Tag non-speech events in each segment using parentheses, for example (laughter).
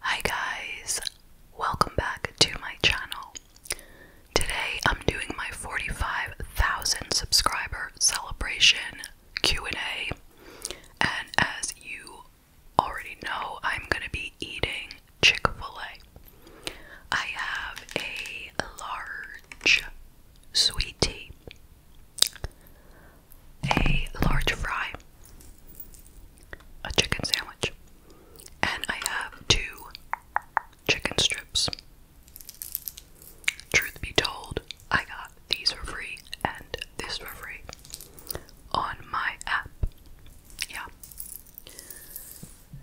Hi guys, welcome back to my channel. Today I'm doing my 45,000 subscriber celebration Q&A. And as you already know, I'm going to be eating Chick-fil-A. I have a large sweet tea, a large fry, a chicken sandwich. And I have two chicken strips. Truth be told, I got these for free and this for free on my app. Yeah.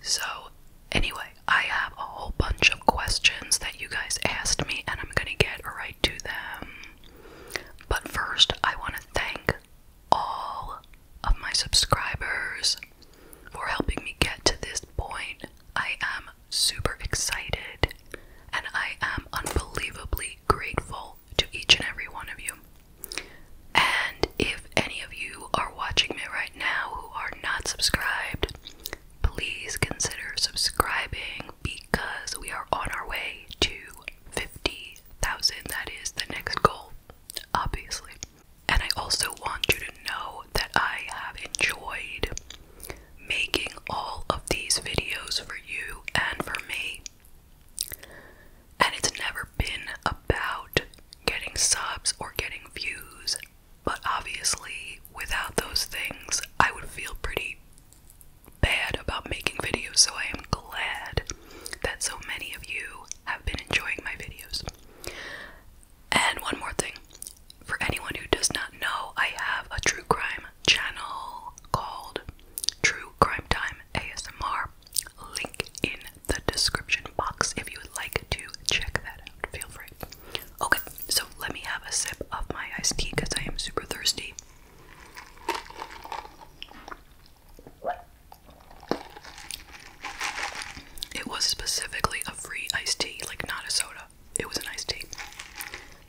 So, anyway, I have a whole bunch of questions that you guys asked me, and I'm gonna get right to them. But first, I want to thank all of my subscribers for helping me get to this point. I am super excited and I am unbelievably grateful to each and every one of you. And if any of you are watching me right now who are not subscribed, please consider subscribing because we are on our way to 50,000. That is the next goal, obviously. And I also want you to know that I have enjoyed making all of these videos for you and for me. And it's never been about getting subs or getting views, but obviously, without those things, I would feel pretty bad about making videos, so I am glad that so many of you have been enjoying my videos. And one more thing for anyone who does not know, I have a true crime channel called True Crime Time ASMR. Link in the description box if you would like to check that out. Feel free. Okay, so let me have a sip of my iced tea because I am super thirsty. It was specifically a free iced tea, like not a soda. It was an iced tea.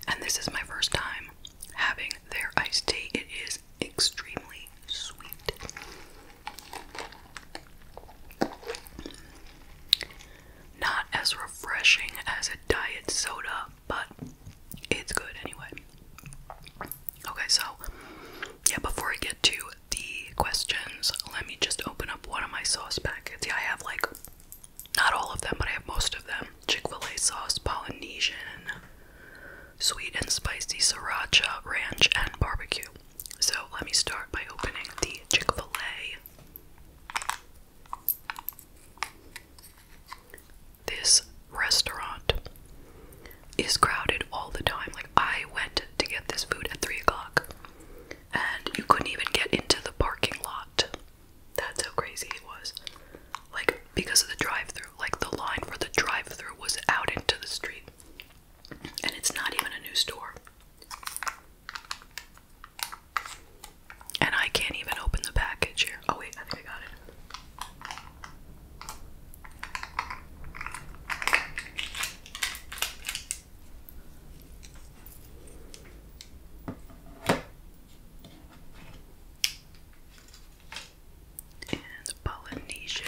And this is my first time having their iced tea. It is extremely sweet. Not as refreshing as a diet soda, but it's good anyway. Okay, so yeah, before I get to the questions, let me just open up one of my sauce packets. Yeah, I have like not all of them, but I have most of them. Chick-fil-A sauce, Polynesian, sweet and spicy sriracha, ranch, and barbecue. So let me start by opening the Chick-fil-A this restaurant is crowded all the time. Like, I went to get this food at 3 o'clock and you couldn't even get into the parking lot. That's how crazy it was. Like, because of the drive through, like, the line for the drive through was out into the street. And it's not even a new store. And I can't even open the package here. Oh, wait, I got it. And Polynesian.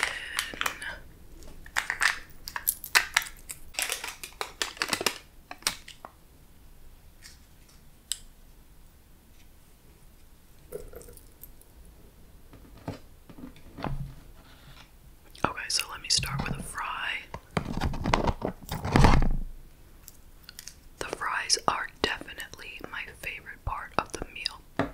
Okay, so let me start with a fry. The fries are definitely my favorite part of the meal.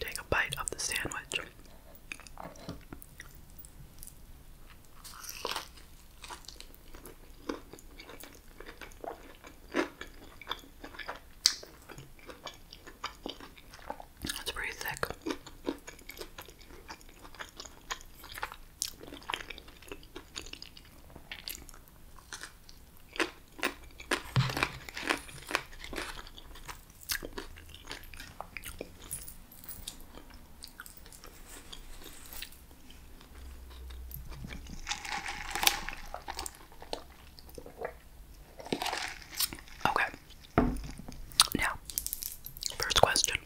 Take a bite of the sandwich. That's pretty thick. Okay. Now, first question.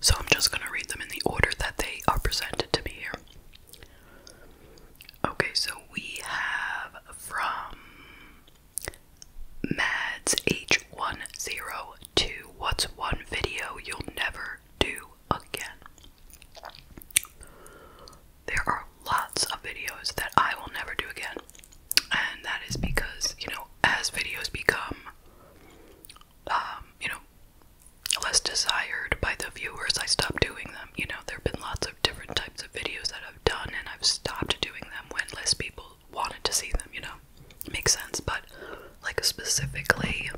So I'm just going to read them in the order that they are presented to me here. Okay, so we have from Mads H102 What's one video you'll never do again? There are lots of videos that I will never do again. And that is because, you know, as videos become, um, you know, less desired by the viewers, I stopped doing them. You know, there have been lots of different types of videos that I've done, and I've stopped doing them when less people wanted to see them, you know? It makes sense, but like specifically,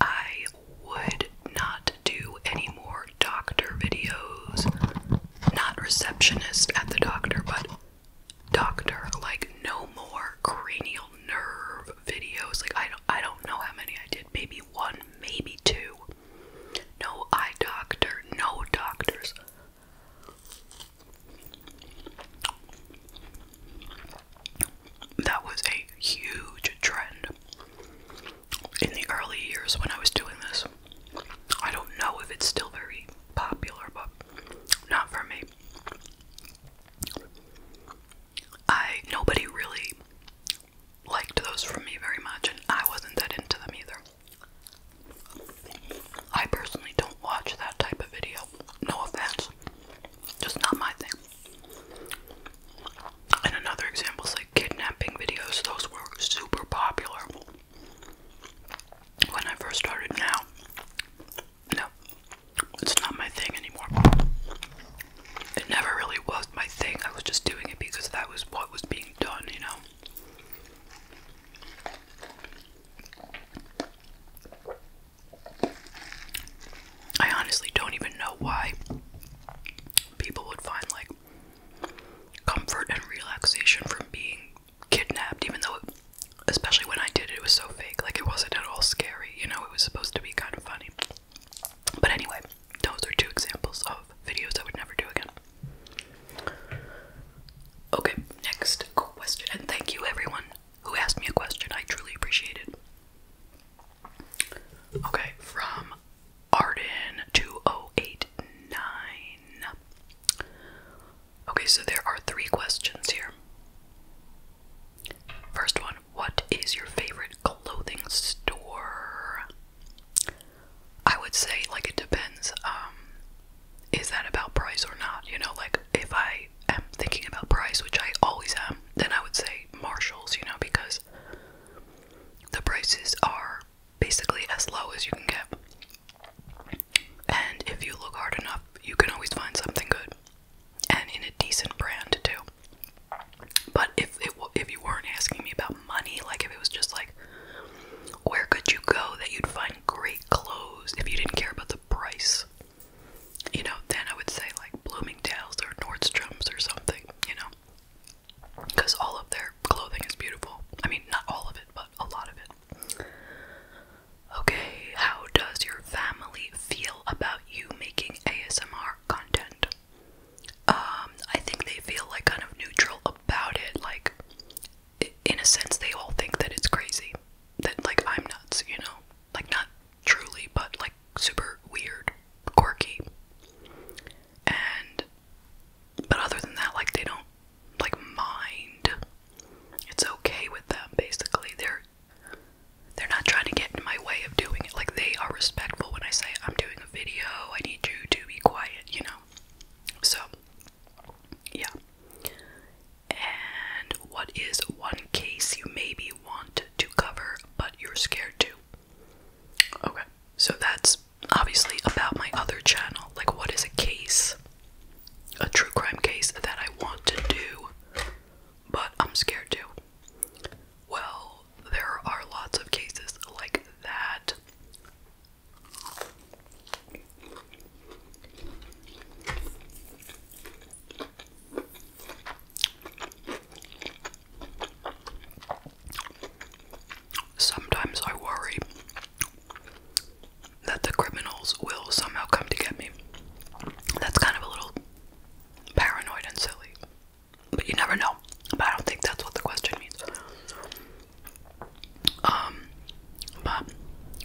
I would not do any more doctor videos. Not receptionist at the doctor, but doctor, like no more cranial nerve videos. Like I don't I don't know how many I did. Maybe one, maybe two. No eye doctor, no doctors. That was a huge trend in the early years when I was doing this. I don't know if it's still very popular, but not for me. I nobody really liked those from me very much, and I wasn't that into them either. I personally don't watch that type of video. No offense, just not my thing. And another example is like kidnapping videos. Those were super popular when I first started. Now no, it's not my thing anymore. It never really was my thing. I was just doing it because that was what was being done, you know. I honestly don't even know why people would find like comfort and relaxation from being kidnapped, even though, especially when I did it, it was so fake. Like, it wasn't at all scary. You know, it was supposed to be kind of funny. But anyway, those are two examples of videos I would never do again. Okay, next question. And thank you, everyone who asked me a question. I truly appreciate it. Okay, from Arden2089. Okay, so there are three questions here. First one what is your favorite clothing store? I would say, like, it depends. Um, is that about price or not? You know, like, if I am thinking about price, which I always am, then I would say Marshalls, you know, because the prices are basically as low as you can get. And if you look hard enough, you can always find something good and in a decent brand too. But if it if you weren't asking me about money, like if it was just like where could you go that you'd find great clothes if you didn't care about the price, you know, then I would say like Bloomingdale's or Nordstrom's or something, you know, because all of their clothing is beautiful. I mean, not all of it, but a lot of it. Okay, how does your family feel about you making ASMR content? Um, I think they feel like kind of neutral about it. Like, in a sense, they all think that it's crazy. That, like, I'm nuts, you know? Like, not truly, but like super weird, quirky. And, but other than that, like, they don't like mind. It's okay with them, basically. They're they're not trying to get in my way of doing it. Like they are respectful when I say I'm doing a video, I need you to be quiet, you know. So yeah. And what is one case you maybe want to cover but you're scared to? Okay. So that's obviously about my other channel. Like what is a case? A true crime case that I want to do but I'm scared to. Well, there are lots of cases like that. Sometimes I worry that the criminals will somehow come to get me. That's kind of a little paranoid and silly. But you never know. But I don't think that's what the question means. Um, but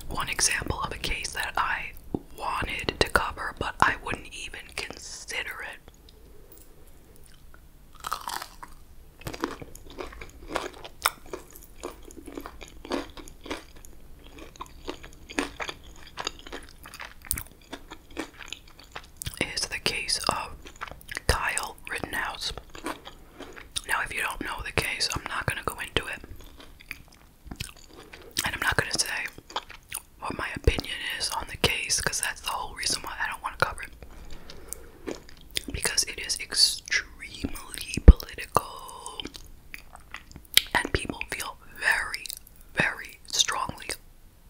one example of a case that I wanted to cover, but I wouldn't even consider it is the case of Kyle Rittenhouse. Now, if you don't know the case, I'm not going to go into it. And I'm not going to say what my opinion is on the case because that's the whole reason why I don't want to cover it. Because it is extremely political and people feel very very strongly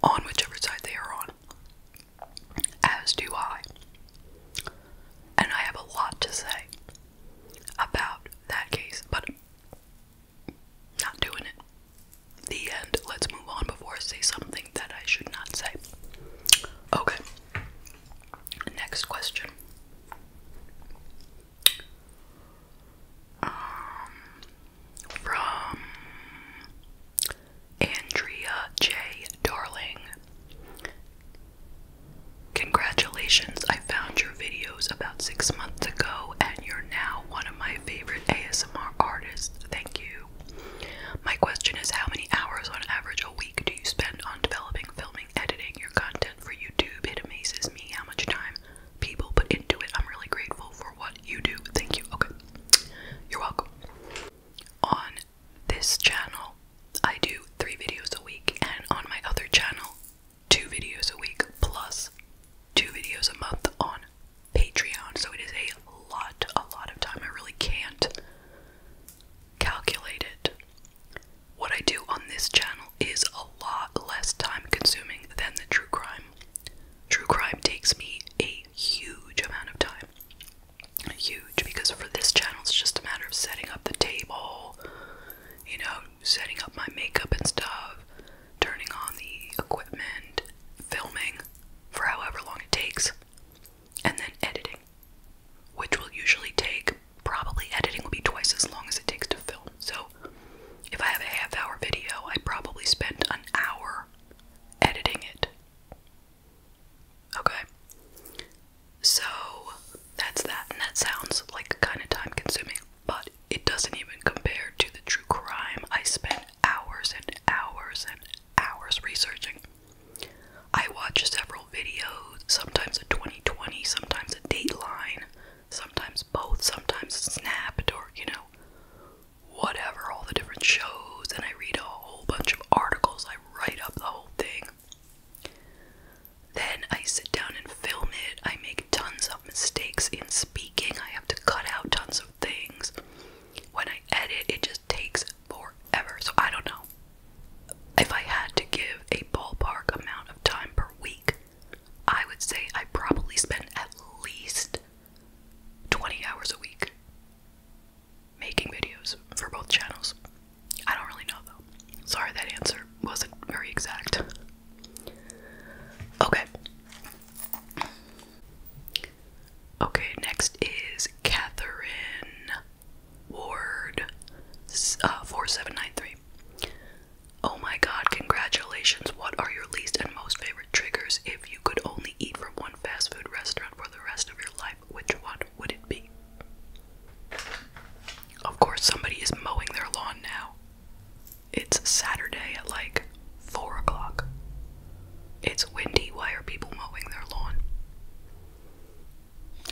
on whichever side they are on, as do I. And I have a lot to say about that case, but not doing it. The end. Let's move on before I say something that I should not say. Okay. Next question. Um, from Andrea J. Darling. Congratulations, I found your videos about six months ago, and you're now one of my favorite ASMR artists. Thank you. My question is how many hours on average a week do you spend on developing, filming, editing your content for YouTube? It amazes me how much time people but into it. I'm really grateful for what you do. Thank you. Okay. You're welcome. On this channel, I do three videos a week, and on my other channel, two videos a week plus two videos a month on Patreon. So it is a lot, a lot of time. I really can't calculate it. What I do on this channel is a lot less time consuming than the true crime. True crime takes me a huge amount of time. Huge, because for this channel, it's just a matter of setting up the table, you know, setting up my makeup and stuff, turning on the equipment, filming for however long it takes, and then editing, which will usually take probably editing will be twice as long as it takes to film. So if I have a half hour video, I probably spend an hour editing it. Okay? So that's that, and that sounds like kind of time consuming, but it doesn't even compare to the true crime I spent hours and hours and hours researching. I watch several videos, sometimes a 2020, sometimes a Dateline, sometimes both, sometimes snap. or you know, whatever, all the different shows, and I read a whole bunch of articles, I write up the whole thing. Then I sit down and film it. I make tons of mistakes in speaking, I have to cut out tons of things. When I edit, it just takes forever, so I don't know. If I had to give a ballpark amount of time per week, I would say I probably spend at least 20 hours a week making videos for both channels. I don't really know though. Sorry, that answer wasn't very exact. Okay. Okay, next is Catherine Ward uh, 4793. Oh my god, congratulations. What are your least and most favorite triggers? If you could only eat from one fast food restaurant for the rest of your life, which one would it be? Of course, somebody is mowing their lawn now. It's Saturday at like 4 o'clock. It's windy. Why are people mowing their lawn?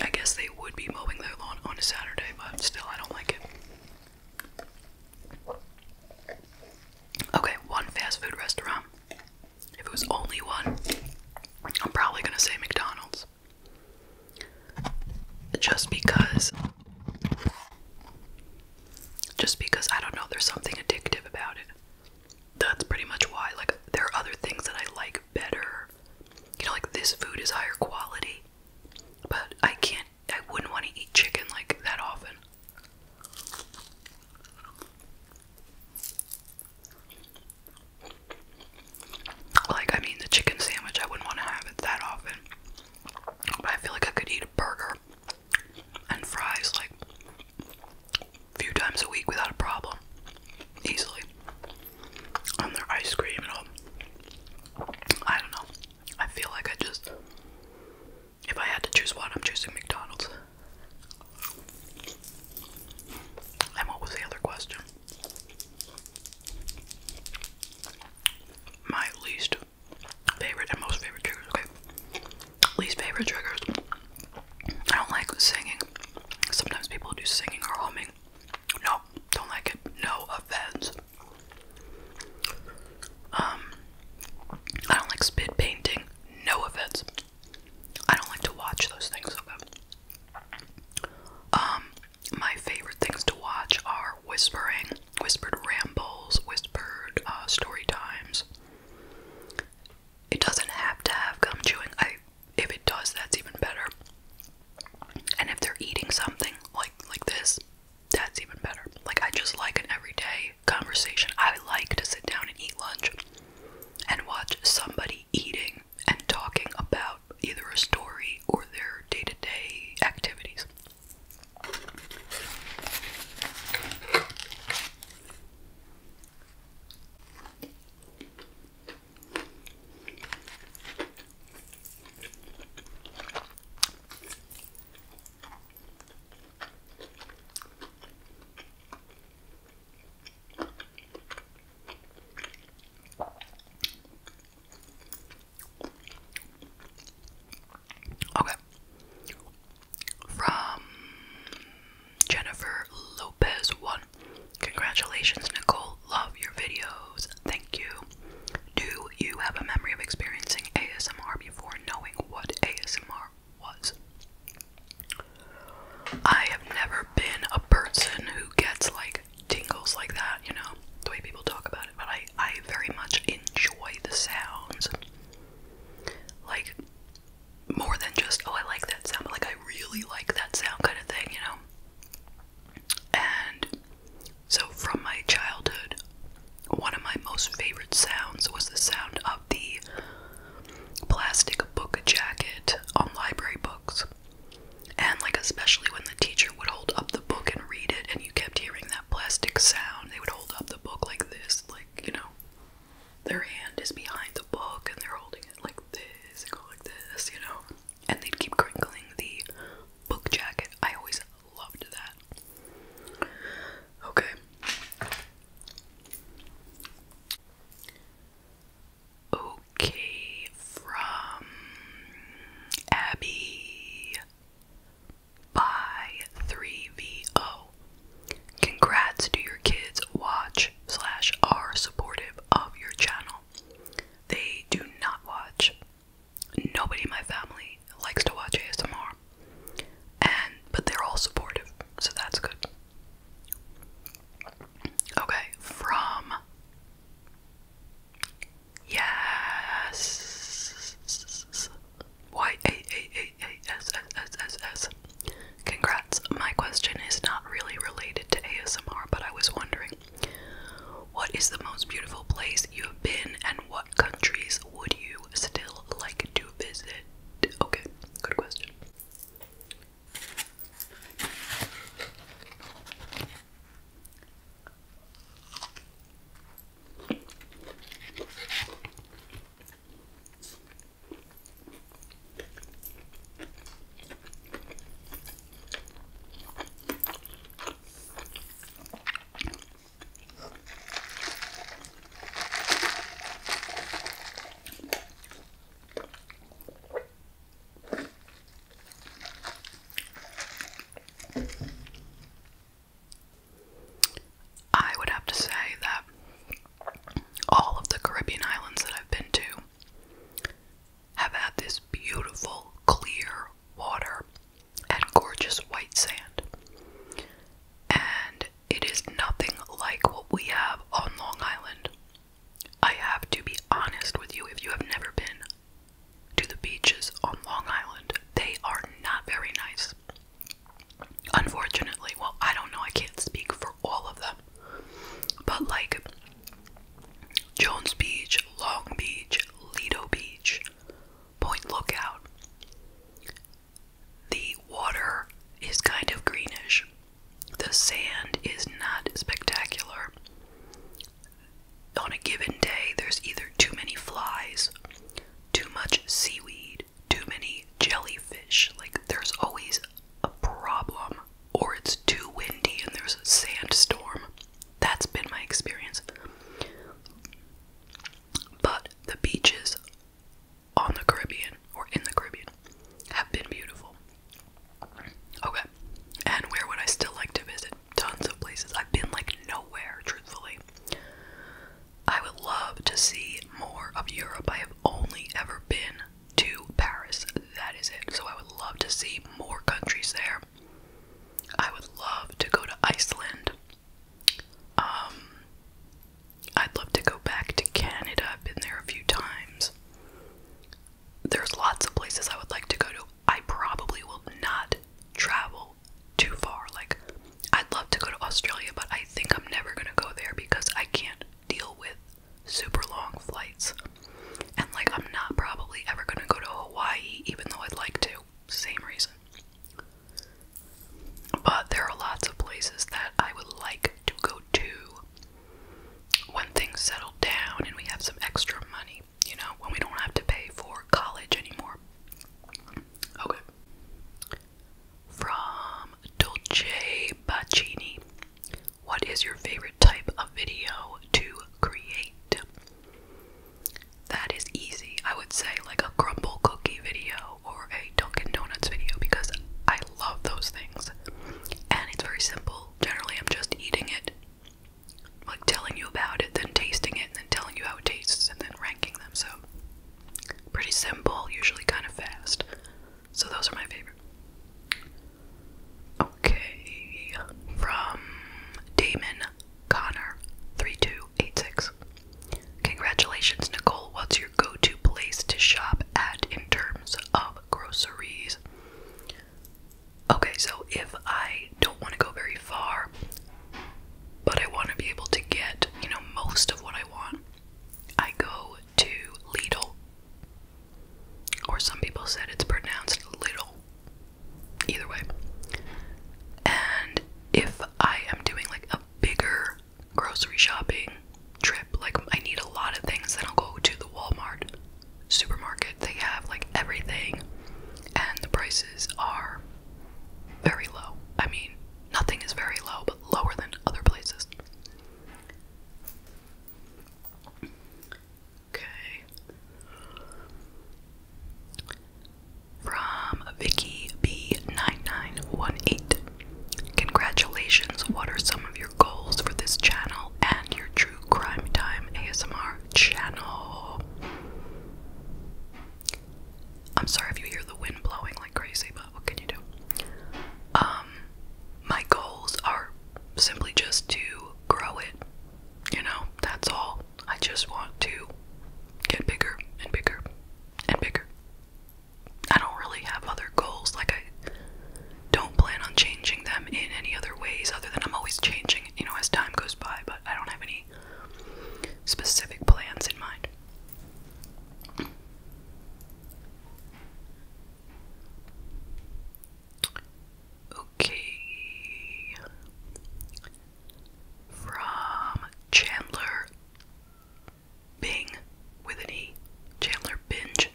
I guess they would be mowing their lawn on a Saturday, but still, I don't like it. Okay, one fast food restaurant. If it was only one, I'm probably gonna say McDonald's. Just because. Just because I don't know, there's something addictive about it. That's pretty much why. Like, there are other things that I like better. You know, like this food is higher quality, but I can't I wouldn't want to eat chicken like that often. Like, I mean, the chicken sandwich, I wouldn't want to have it that often. But I feel like I could eat a burger and fries like a few times a week without a problem, easily. And their ice cream and all. I don't know. I feel like I just. If I had to choose one, I'm choosing McDonald's. And what was the other question? My least favorite and most favorite triggers, Least favorite triggers. I don't like singing. Sometimes people do singing or humming. No, don't like it. No offense. Um, I don't like spit painting. No offense. I don't like to watch those things. Um, my favorite things to watch are whispering, whispered rambles, whispered uh, story times. It doesn't have to have gum chewing. if it does, that's even better. And if they're eating something like like this, that's even better. Like, I just like an everyday conversation. I like to sit down and eat lunch and watch somebody eating and talking about either a story or their day to day activities. Okay. From Jennifer Lopez 1. Congratulations, Nicole. Love your videos. Thank thank you. Do you have a memory of experiencing ASMR before knowing what ASMR was? I have never been a person who gets like tingles like that, you know, the way people talk about it, but I, I very much enjoy the sounds. Like, more than just, oh, I like that sound, like, I really like that sound kind of thing, you know? And so, from my childhood, one of my most favorite sounds was the sound of the plastic book jacket on library books. And, like, especially when the teacher would hold up the book and read it, and you kept hearing that plastic sound, they would hold up the book like this, like, you know, their hand is behind the book and they're holding it like this, and go like this, you know. And they'd keep crinkling the book jacket. I always loved that. Okay. Okay, from Abby by 3VO. Congrats to your kids watch slash are supportive of your channel. They do not watch nobody in my family likes to watch ASMR, and but they're all supportive, so that's good. Okay, from yes, y a a a a s s s s. Congrats. My question is not really related to ASMR, but I was wondering, what is the most beautiful place you have been, and what countries would you still like to visit? Okay, good question. I would have to say that all of the Caribbean islands that I've been to have had this beautiful, clear water and gorgeous white sand. And it is nothing like what we have on Long Island. I have to be honest with you if you have never been to the beaches on Long Island, they are not very nice. Unfortunately, well, I don't know, I can't speak for all of them. But like Jones Beach, Long Beach, Lido Beach, Point Lookout. The water is kind of greenish. The sand is not spectacular. On a given day, there's either too many flies, too much seaweed, too many jellyfish. Like, there's always a problem, or it's too windy and there's a sandstorm. That's been my experience. But the beaches on the Caribbean or in the Caribbean have been beautiful. Okay. And where would I still like to visit? Tons of places. I've been like nowhere, truthfully. I would love to see more of Europe. I have only ever been to Paris. That is it. So I would love to see more countries there. I would love to go to Iceland. Um, I'd love to go back to Canada. I've been there a few times. There's lots of places I would like to go to. I probably will not travel too far. Like, I'd love to go to Australia, but I think I'm never gonna go there because I can't deal with super long flights. And, like, I'm not probably ever gonna go to Hawaii, even though I'd like to. Same reason. But there are lots of places that I would like to go to when things settle down and we have some extra money, you know, when we don't have to pay for college anymore. Okay. From Dolce Bacini. What is your favorite type of video to create? that is easy. I would say like a crumble cookie video or a Dunkin' Donuts video because I love those things. And it's very simple. Generally, I'm just eating it, like telling you about it, then tasting it, and then telling you how it tastes, and then ranking them. So, pretty simple, usually kind of fast. So, those are my favorite. Okay, from Damon Connor32. 286. Congratulations, Nicole. What's your go to place to shop at in terms of groceries? Okay, so if I don't want to go very far, but I want to be able to get, you know, most of what I want, I go to Lidl. Or some people said it's pronounced little. Either way. And if I am doing like a bigger grocery shopping trip, like I need a lot of things, then I'll go to the Walmart supermarket. They have like everything, and the prices are very low. I mean, nothing is very low, but lower than other places. Okay from Vicky B9918. Congratulations, what are some of your goals for this channel and your true crime time ASMR channel? I'm sorry if you hear the wind blowing like crazy, but what can you do? Um, my goals are simply just to grow it. You know, that's all. I just want to get bigger and bigger and bigger. I don't really have other goals. Like, I don't plan on changing them in any other ways other than I'm always changing, you know, as time goes by, but I don't have any specific plans in mind. Okay from Chandler Bing with an E. Chandler Binge.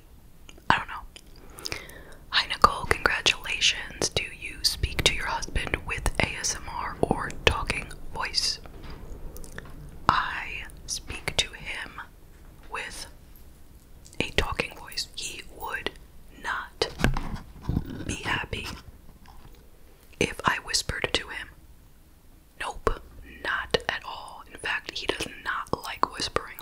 I don't know. Hi Nicole, congratulations. Do you speak to your husband with ASMR or talking voice? I speak to him with a talking voice. He would not be happy if I whispered to him. Nope, not at all. In fact, he does not like whispering.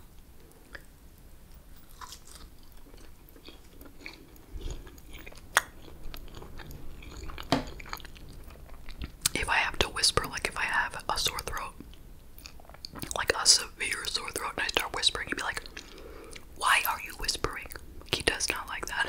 If I have to whisper, like if I have a sore throat, like a severe sore throat, and I start whispering, he'd be like, Why are you whispering? He does not like that.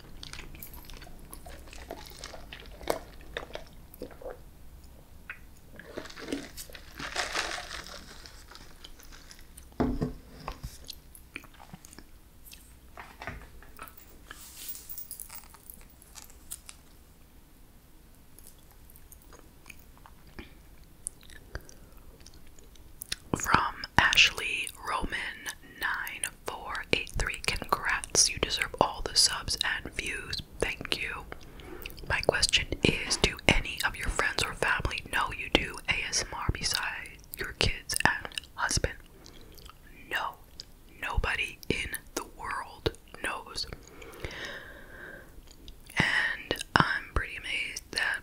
From Ashley Roman 9483. Congrats. You deserve all the subs and views. Thank you. My question is Do any of your friends or family know you do ASMR besides your kids and husband? No. Nobody in the world knows. And I'm pretty amazed that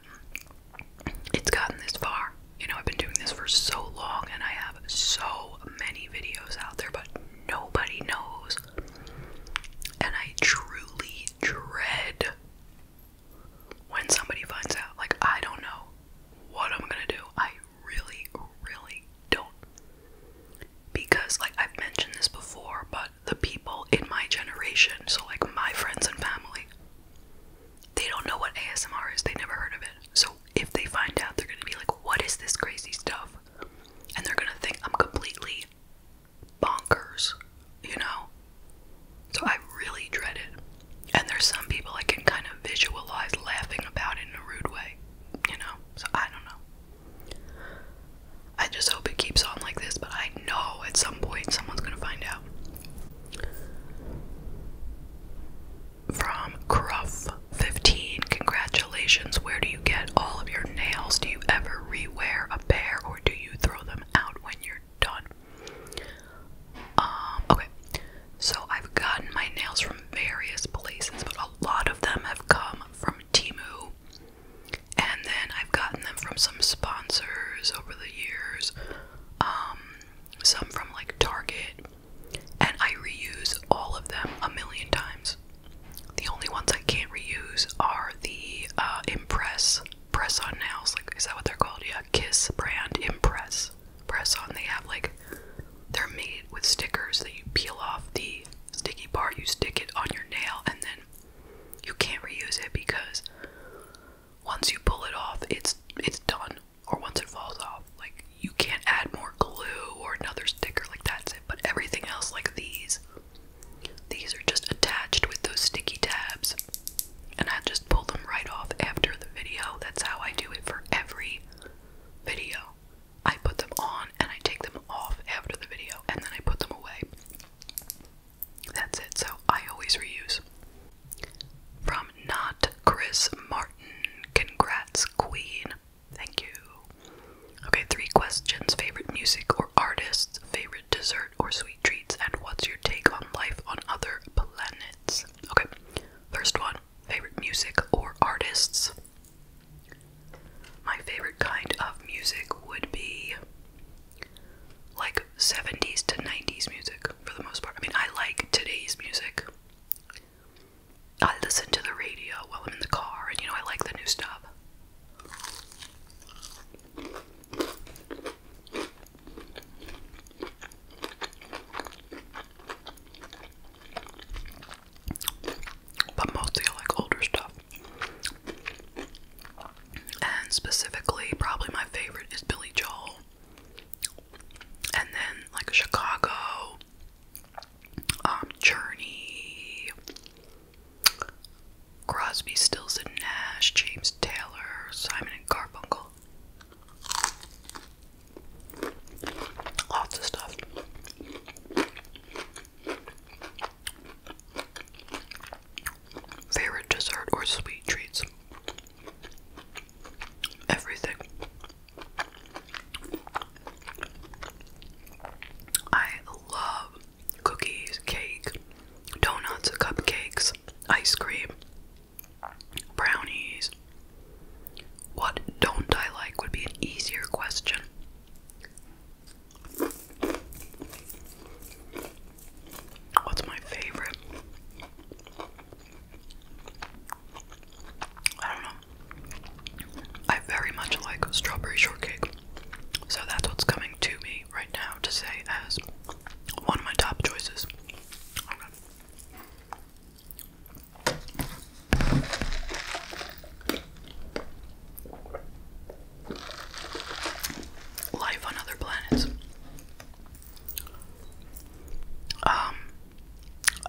it's gotten this far. You know, I've been doing this for so long and I have so many videos out there, but nobody knows. And I truly dread when somebody finds out. Like, I don't know what I'm gonna do. I really, really don't. Because, like, I've mentioned this before, but the people in my generation, so like my friends and family, they don't know what ASMR is. They never heard of it. So if they find out, they're going to be like, what is this crazy stuff? And they're going to think I'm completely bonkers, you know? So I really dread it. And there's some people I can kind of visualize laughing about it in a rude way, you know? So I don't know. I just hope it keeps on like this, but I know at some point someone's going to find out from Cruff15. Congratulations. Where do you get all of your nails? Do you ever rewear a pair or do you throw them out when you're done? Um, okay. So I've gotten my nails from various places, but a lot of them have come from Timu. And then I've gotten them from some sponsors over the years. Um, some from like Target and I reuse all of them a million times. The only ones I can't reuse are the uh, Impress press on nails. Like, is that what they're called? Yeah, Kiss brand Impress press on. They have like they're made with stickers that you peel off the sticky part, you stick it on your nail, and then you can't reuse it because once you pull it off, it's it's done or once it falls off, like you can't add more glue or another sticker, like that's it. But everything else, like these, these are just attached with those sticky tabs, and I just pull them right off after the video. That's how I do it for every video. I put them on and I take them off after the video, and then I put them away. That's it, so I always reuse. From not Chris Martin. Congrats, Queen. Thank you. Okay, three questions favorite music or artists, favorite dessert or sweet treats, and what's your take on life on other planets? Okay, first one favorite music or artists. My favorite kind of music would be like 70s to 90s music for the most part. I mean, I like today's music, I listen to the radio while I'm in the car, and you know, I like the new stuff. But mostly I like older stuff. And specifically, probably my favorite is Billy Joel and then like Chicago, um, Journey, Crosby, Stills and Nash, James Taylor, Simon and Garfunkel, lots of stuff. Favorite dessert or sweet treats? everything. I love cookies, cake, donuts, cupcakes, ice cream, brownies. What don't I like would be an easier question. What's my favorite? I don't know. I very much like strawberry shortcake. So that's what's coming to me right now to say as one of my top choices. Life on other planets. Um,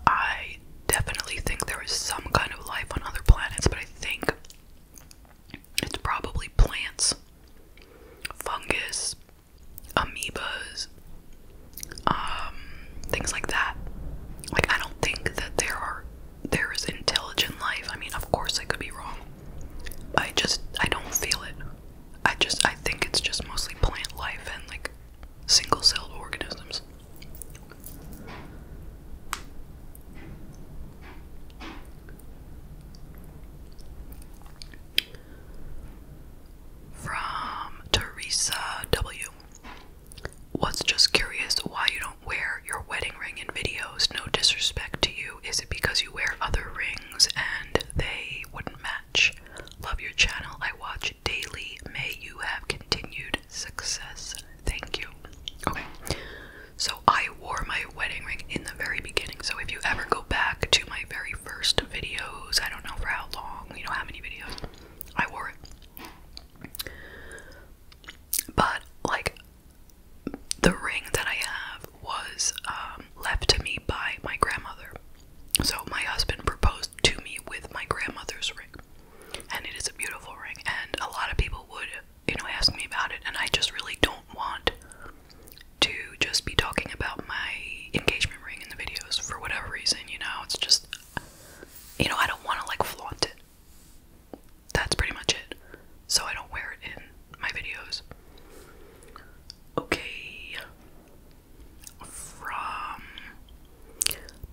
I definitely think there is some kind of life on other planets, but I think it's probably plants, fungus, amoebas, um, things like that. Like I don't think that there are there is intelligent life. I mean, of course I could be wrong. I just I don't feel it. I just I think it's just mostly plant life and like single celled organisms. From Teresa W. Was just curious why you don't wear your wedding ring in videos. No disrespect to you. Is it because you wear other rings and they wouldn't match? Love your channel. I watch daily. May you have continued success. Thank you. Okay. So I wore my wedding ring in the very beginning. So if you ever go back to my very first videos, I don't know for how long, you know how many videos, I wore it. But like the ring that I have was um, left to me by my grandmother. So my husband proposed to me with my grandmother's ring. And it is a beautiful ring. And a lot of people would, you know, ask me about it. And I just really don't want to just be talking about my engagement ring in the videos for whatever reason, you know. It's just, you know, I don't want to like flaunt it. That's pretty much it. So I don't wear it in my videos. Okay from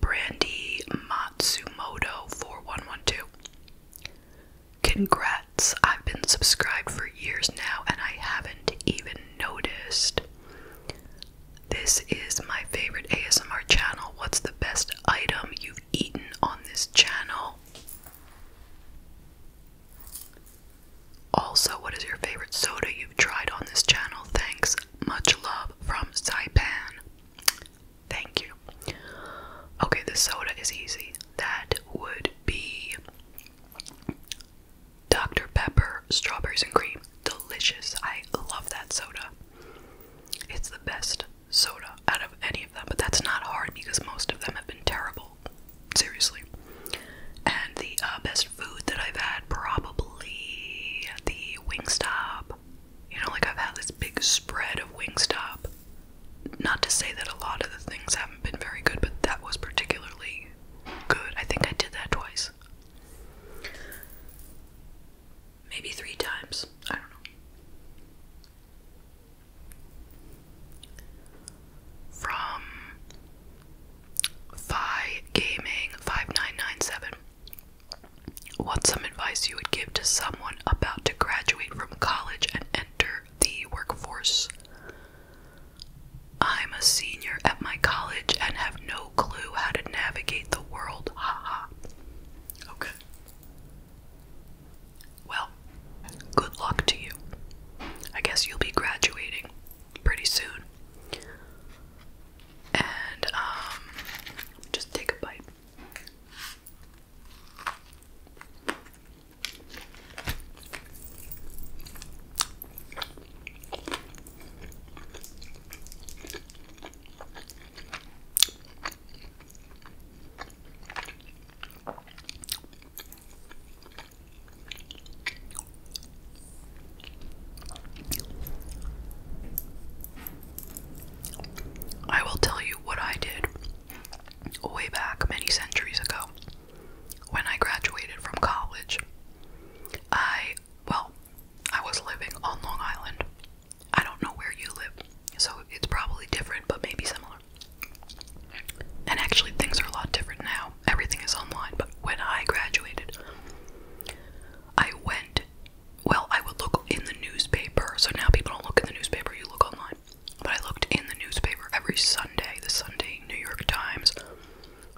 Brandy Matsumoto 4112. Congrats, I've been subscribed for years now and I haven't even noticed. This is my favorite ASMR channel. What's the best item you've eaten on this channel? Also, what is your favorite soda you've tried on this channel? Thanks. Much love from Saipan. Thank you. Okay, the soda is easy. That would be Dr. Pepper strawberries and cream. Delicious. I love that soda. It's the best soda out of any of them, but that's not hard because most of them have been terrible. Seriously. And the uh, best food that I've had probably the Wingstop. You know, like I've had this big spread of Wingstop. Not to say that a lot of the things haven't been very good, but that was particularly good. I think I did that twice. Maybe three times. I don't know. From Phi Gaming 5997. What's some advice you would give to someone about to graduate from college and enter the workforce? I'm a senior at my college and have no clue how to navigate the world. Haha. okay. Well, good luck to you. I guess you'll be graduating pretty soon and um, just take a bite. I will tell you what I did way back many centuries ago when I graduated from college. I, well, I was living on Long Island. I don't know where you live, so it's probably different, but maybe similar. And actually, things are a lot different now everything is online, but when I graduated, I went. Well, I would look in the newspaper, so now people don't look in the newspaper, you look online. But I looked in the newspaper every Sunday, the Sunday New York Times,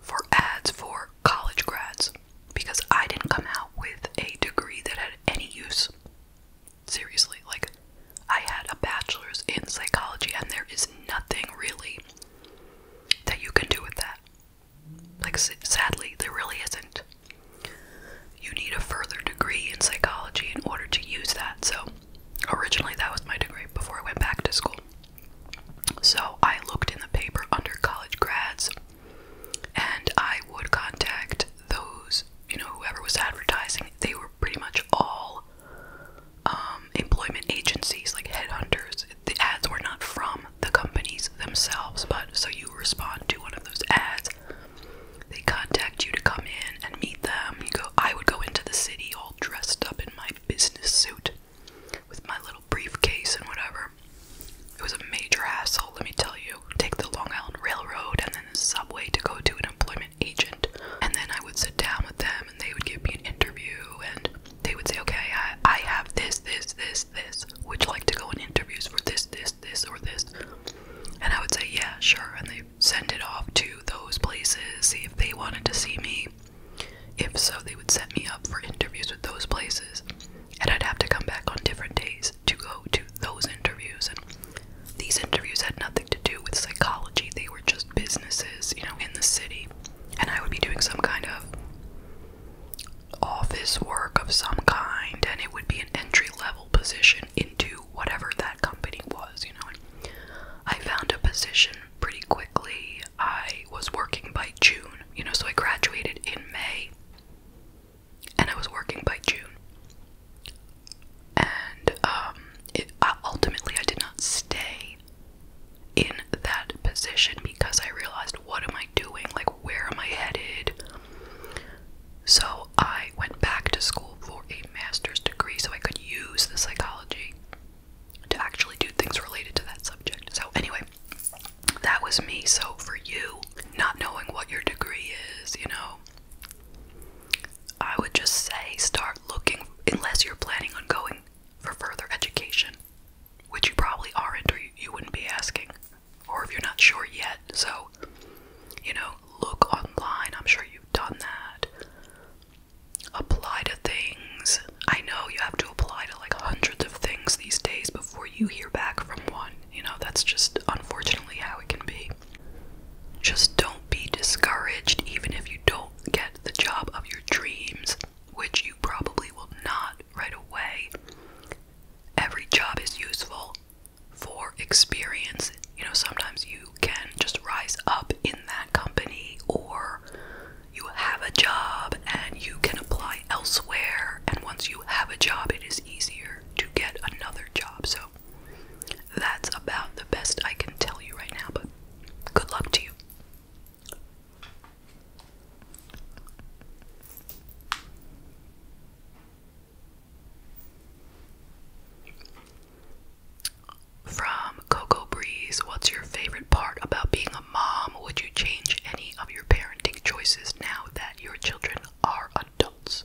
for ads for college grads because I didn't come out with a degree that had any use. Seriously, like, I had a bachelor's in psychology, and there is nothing really that you can do with that. Like, sadly, there really isn't. You need a further degree in psychology in order to use that. So, originally, that was my degree before I went back to school. So, I looked in the paper under college grads and I would contact those, you know, whoever was advertising. They were pretty much all um, employment agencies, like headhunters the ads were not from the companies themselves, but so you respond to one of those ads. They contact you to come in and meet them. You go, I would go into the city all dressed up in my business suit with my little briefcase and whatever. It was a major hassle, let me tell you. Take the Long Island Railroad and then the subway to go to an employment agent. And then I would sit down with them and they would give me an interview and they would say, okay, I, I have this, this, this, this. Would you like to go in interviews for this, this, this, or this? And I would say, yeah, sure. And they send it off to those places, see if they wanted to see me. If so, they would set me up for interviews with those places. And I'd have to come back on different days to go to those interviews. And these interviews had nothing to do with psychology, they were just businesses, you know, in the city and I would be doing some kind of office work of some kind, and it would be an entry level position into whatever that company was, you know. I found a position pretty quickly. I was working by June, you know, so I graduated in May, and I was working by June. And um, ultimately, I did not stay in that position because I realized what am I doing? Like, where am I headed? So I went back to school for a master's degree so I could use the psychology to actually do things related to that subject. So, anyway, that was me. So, for you, not knowing what your degree is, you know, I would just say start looking, unless you're planning on going for further education, which you probably aren't, or you, wouldn't be asking, or if you're not sure yet. So, you know, look online. I'm sure you've done that. Apply to things. I know you have to apply to like hundreds of things these days before you hear back from one. You know, that's just unfortunately how it can be. Just don't be discouraged, even if you don't get the job of your dreams which you probably will not right away. Every job is useful for experience. You know, sometimes you can just rise up in that company, or you have a job and you can apply elsewhere. And once you have a job, it is easier to get another job. So that's about the best I can tell you right now, but good luck to you. From Coco Breeze, what's your favorite part about being a mom? Would you change any of your parenting choices now that your children are adults?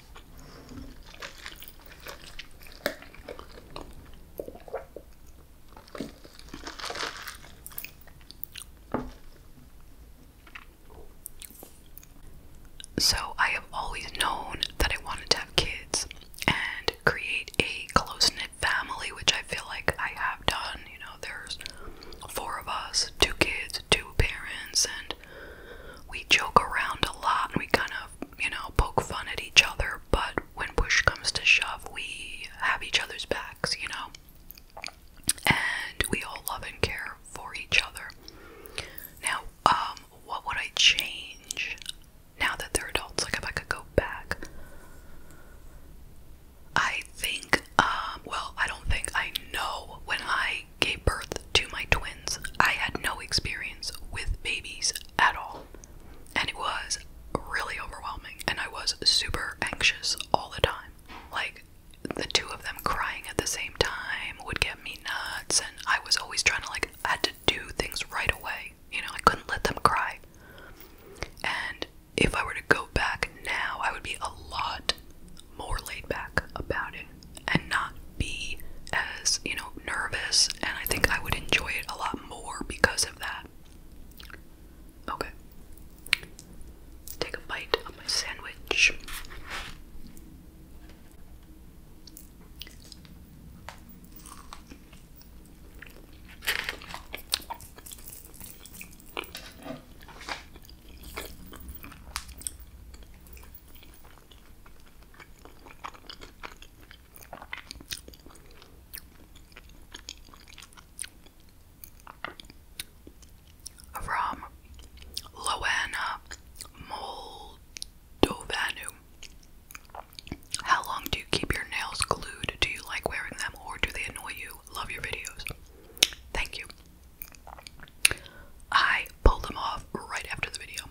So, I have always known that I wanted to have kids and create a close knit family, which I feel like I have done. You know, there's four of us two kids, two parents, and we joke around a lot and we kind of you know, poke fun at each other, but when push comes to shove, we have each other's backs, you know? And we all love and care for each other. Now, um, what would I change now that they're adults? Like, if I could go back, I think, um, well, I don't think I know when I I gave birth to my twins, I had no experience with babies at all. And it was really overwhelming. And I was super anxious all the time. Like, the two of them crying at the same time would get me nuts. And I was always trying to, like, I had to do things right away. You know, I couldn't let them cry. And if I were to go back now, I would be a lot more laid back about it and not be as, you know, nervous. And I think I would enjoy it a lot more because of that. Okay. Take a bite of my sandwich. From Loana Moldovanu. How long do you keep your nails glued? Do you like wearing them or do they annoy you? Love your videos. Thank you. I pulled them off right after the video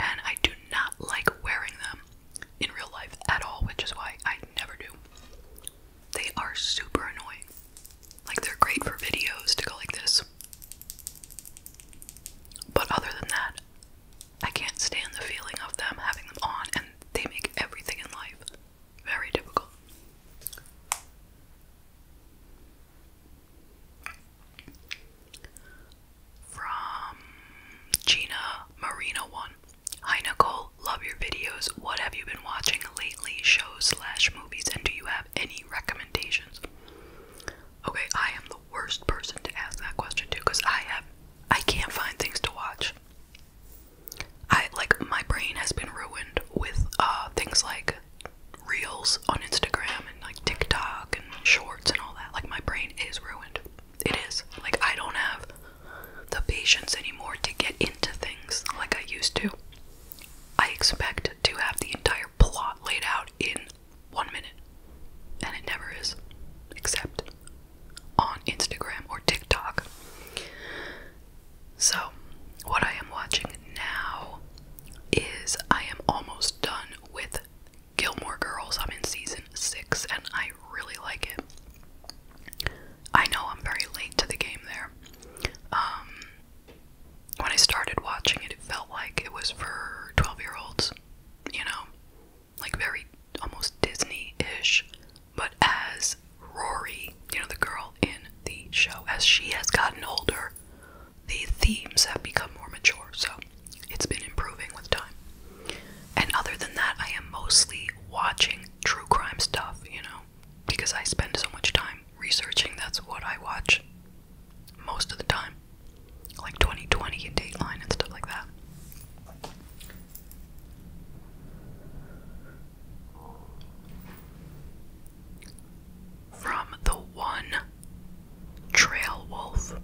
and I do not like wearing them in real life at all, which is why I never do. They are super annoying. Like, they're great for videos to go like this. But other than that, I can't stand the feeling of them having them on, and they make everything in life very difficult. From Gina Marina one. Hi Nicole, love your videos. What have you been watching lately? Shows slash movies, and do you have any recommendations? Okay, I am the worst person to ask that question to because I have I can't find things to watch. I like my brain has been ruined with uh things like reels on Instagram and like TikTok and shorts and all that. Like my brain is ruined. It is. Like I don't have the patience anymore to get into things like I used to. I expect to have the entire plot laid out in one minute. And it never is. Except on Instagram or TikTok. So, what I am watching now is I am almost done with Gilmore Girls. I'm in season six and I really like it. I know I'm very late to the game there. Um, when I started watching it, it felt like it was for 12 year olds, you know, like very almost Disney ish. But as Rory, you know, the girl in the show, as she has gotten older, the themes have become more mature, so it's been improving with time. And other than that, I am mostly watching true crime stuff, you know, because I spend so much time researching. That's what I watch most of the time, like 2020 and Dateline and stuff like that from the one trail wolf.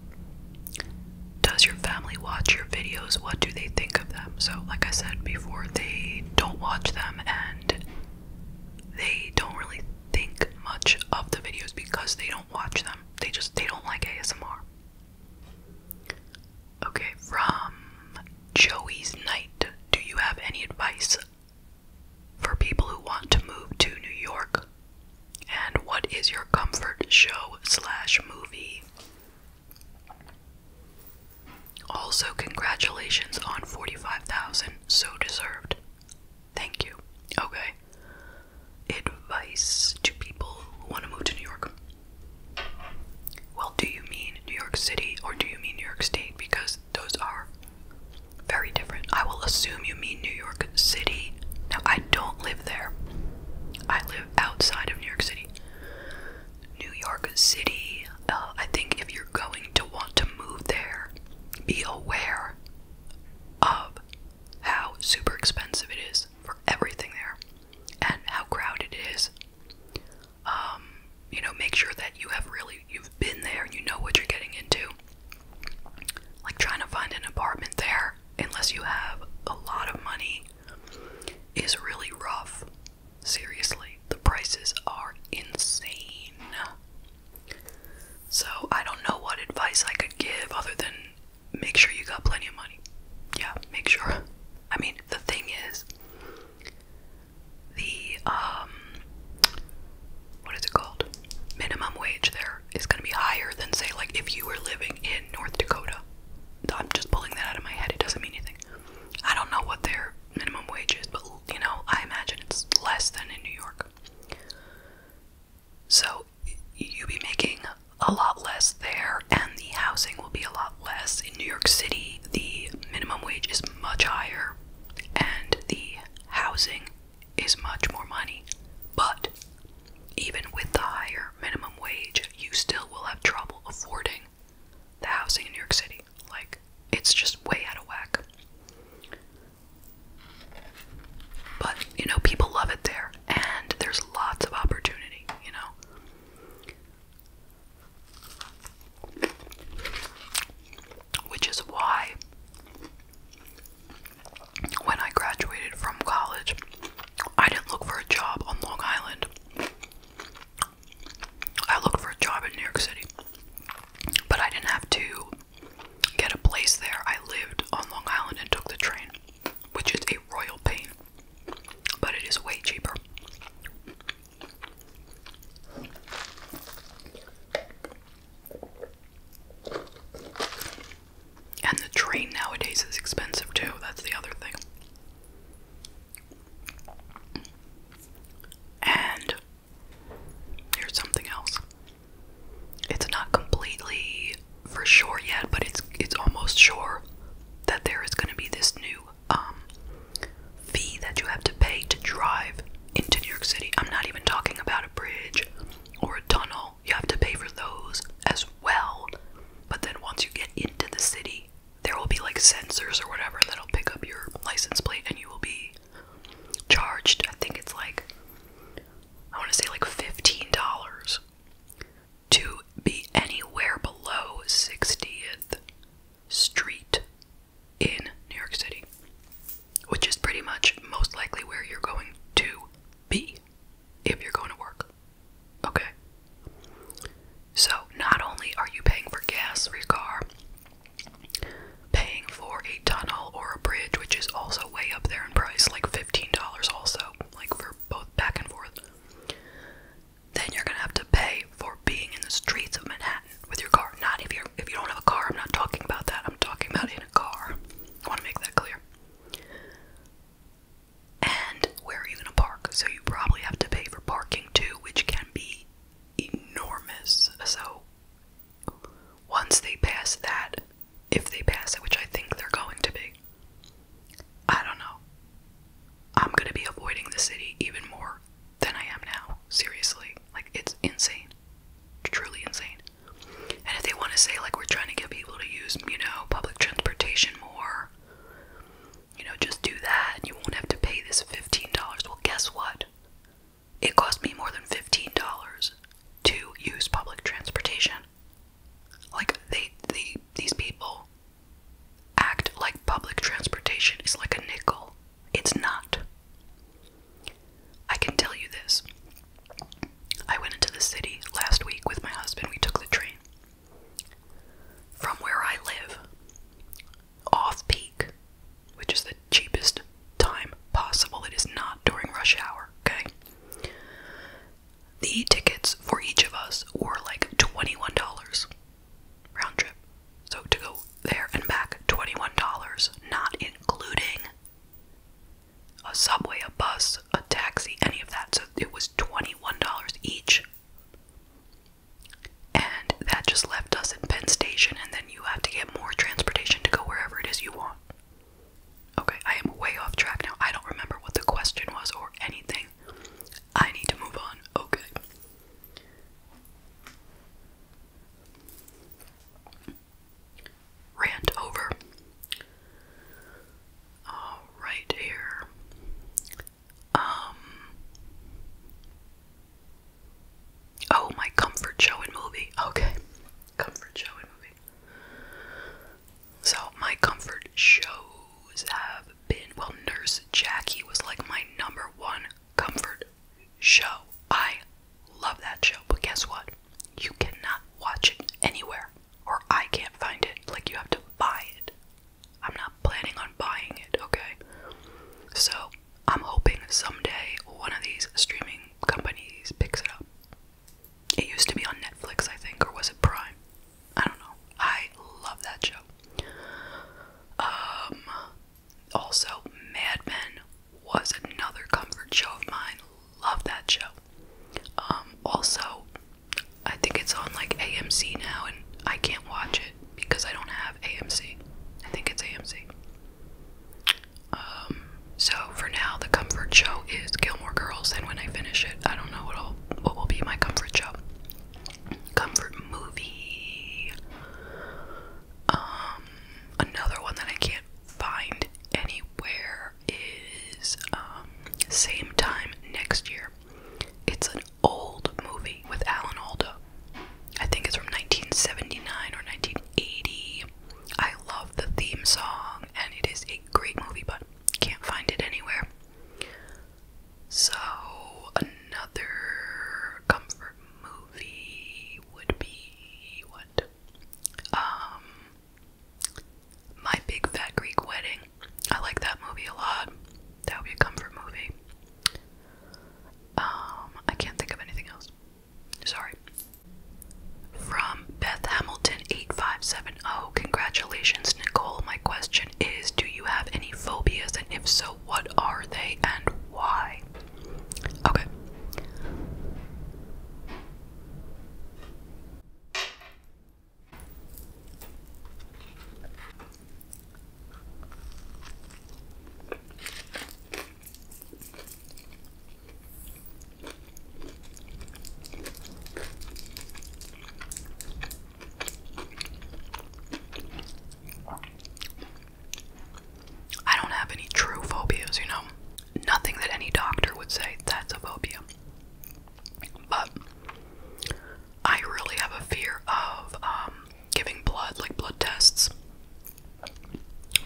Does your family watch your videos? What do they think of them? So, like I said before, they don't watch them and they don't really think much of the videos because they don't watch them. They just they don't like ASMR. Okay, from Joey's Night. Do you have any advice for people who want to move to New York? And what is your comfort show slash movie? Also, congratulations on 45,000. So deserved. Thank you. Okay. Advice to people who want to move to New York. Well, do you mean New York City or do you mean New York State? Because those are very different. I will assume you mean New York City. Now, I don't live there, I live outside of New York City. New York City, uh, I think if you're going to want to move there, be aware of how super expensive it is for everything there and how crowded it is. Um, you know, make sure that you have really, you've been there and you know what you're getting into like trying to find an apartment there unless you have a lot of money is really rough. Seriously, the prices are insane. So, I don't know what advice I could give other than make sure you got plenty of money. Yeah, make sure. I mean, the thing is, the um, what is it called? Minimum wage there is going to be higher than, say, like if you were living in North Dakota. I'm just pulling that out of my head, it doesn't mean anything. I don't know what their minimum wage is, but you know, I imagine it's less than in New York. So you'll be making a lot less there, and the housing will be a lot less. In New York City, the minimum wage is much higher, and the housing is much more money. But even with the higher minimum wage, you still will have trouble affording the housing in New York City. Like, it's just way out of whack. But, you know, people love it there, and there's lots of opportunity, you know? Which is why when I graduated from college, I didn't look for a job on Long Island. I looked for a job in New York City, but I didn't have to get a place there. I lived on Long Island and took the train, which is a royal pain, but it is way cheaper. And the train nowadays is expensive too, that's the other thing. And here's something else. It's not completely for sure yet, but it's it's almost sure that there is going to be this new um, fee that you have to pay to drive into New York City. I'm not even talking about a bridge or a tunnel you have to pay for those as well. But then once you get into the city, there will be like sensors or whatever that'll pick up your license plate and you will be charged. I think it's like, I want to say like $15 to be anywhere below 60th Street in New York City which is pretty much most likely where you're going to be if you're going to work. Okay? So, not only are you paying for gas for your car, paying for a tunnel or a bridge, which is also way up there in price, like $15 also, like for both back and forth, then you're gonna have to pay for being in the streets of Manhattan with your car. Not if you're if you don't have a car, I'm not talking about that. I'm talking about in a car. I want to make that clear. And where are you going to park? So you probably have to pay for parking too, which can be enormous. So once they pass that, if they pass it, which I think they're going to be, I don't know. I'm going to be avoiding the city even more than I am now. Seriously. Like, it's insane. Truly insane. And if they want to say, like, we're trying to get people to use, you know, public transportation more, you know, just do that you won't have to pay this $15. Well, guess what? It cost me more than $15 to use public transportation. Like, they, they, these people act like public transportation is like a nickel. It's not. I can tell you this. I went into the city last week with my husband. We took the train. From where I live, off peak, which is the cheapest time possible, it is not during rush hour, okay? The tickets for each of us were like $21 round trip. So to go there and back, $21, not including a subway, a bus, a taxi, any of that. So it was $21 each. And that just left us in Penn Station, and then you have to get more transportation to go wherever it is you want. Okay, I am way off track now. I don't remember what the question was or anything. I need to move on. Okay rant over. All right here. Um, oh, my comfort show and movie. Okay. Comfort show and movie. So, my comfort shows have been well, Nurse Jackie was like my number one comfort show. I Love that show, but guess what? You cannot watch it anywhere, or I can't find it. Like, you have to buy it. I'm not planning on buying it, okay? So, I'm hoping someday one of these streaming companies picks it up. It used to be on Netflix, I think, or was it Prime? I don't know. I love that show. Um, also, Mad Men was another comfort show of mine. Love that show. Um, also, I think it's on like AMC now, and I can't watch it because I don't have AMC. I think it's AMC. Um, so for now, the comfort show is Gilmore Girls, and when I finish it, I don't know what'll what will be my comfort show. Comfort movie. Um, another one that I can't find anywhere is um, same time next year. It's an old movie with Alan Alda. I think it's from 1979 or 1980. I love the theme song, and it is a great movie, but can't find it anywhere. So, another comfort movie would be what? Um, my Big Fat Greek Wedding. I like that movie a lot. That would be a comfort movie. Um, I can't think of anything else. Sorry. From Beth Hamilton 8570. Congratulations, Nicole. My question is Do you have any phobias? And if so, what are they and why? Okay. I don't have any true phobias, you know. Nothing that any doctor would say that's a phobia. But I really have a fear of um, giving blood, like blood tests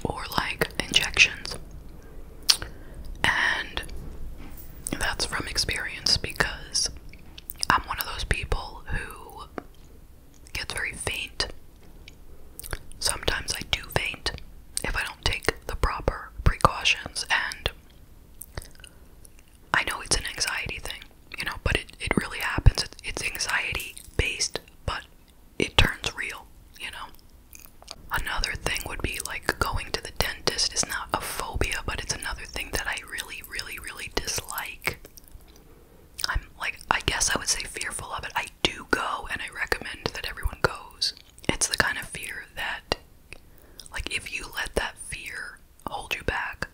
or like injections. And that's from experience because I'm one of those people who gets very faint Sometimes I do faint if I don't take the proper precautions, and I know it's an anxiety thing, you know, but it, it really happens. it's anxiety based, but it turns real, you know. Another thing would be like going to the dentist is not a phobia, but it's another thing that I really, really, really dislike. I'm like, I guess I would say fearful of it. I do go, and I recommend that everyone goes. It's the kind of fear that, like, if you let that fear hold you back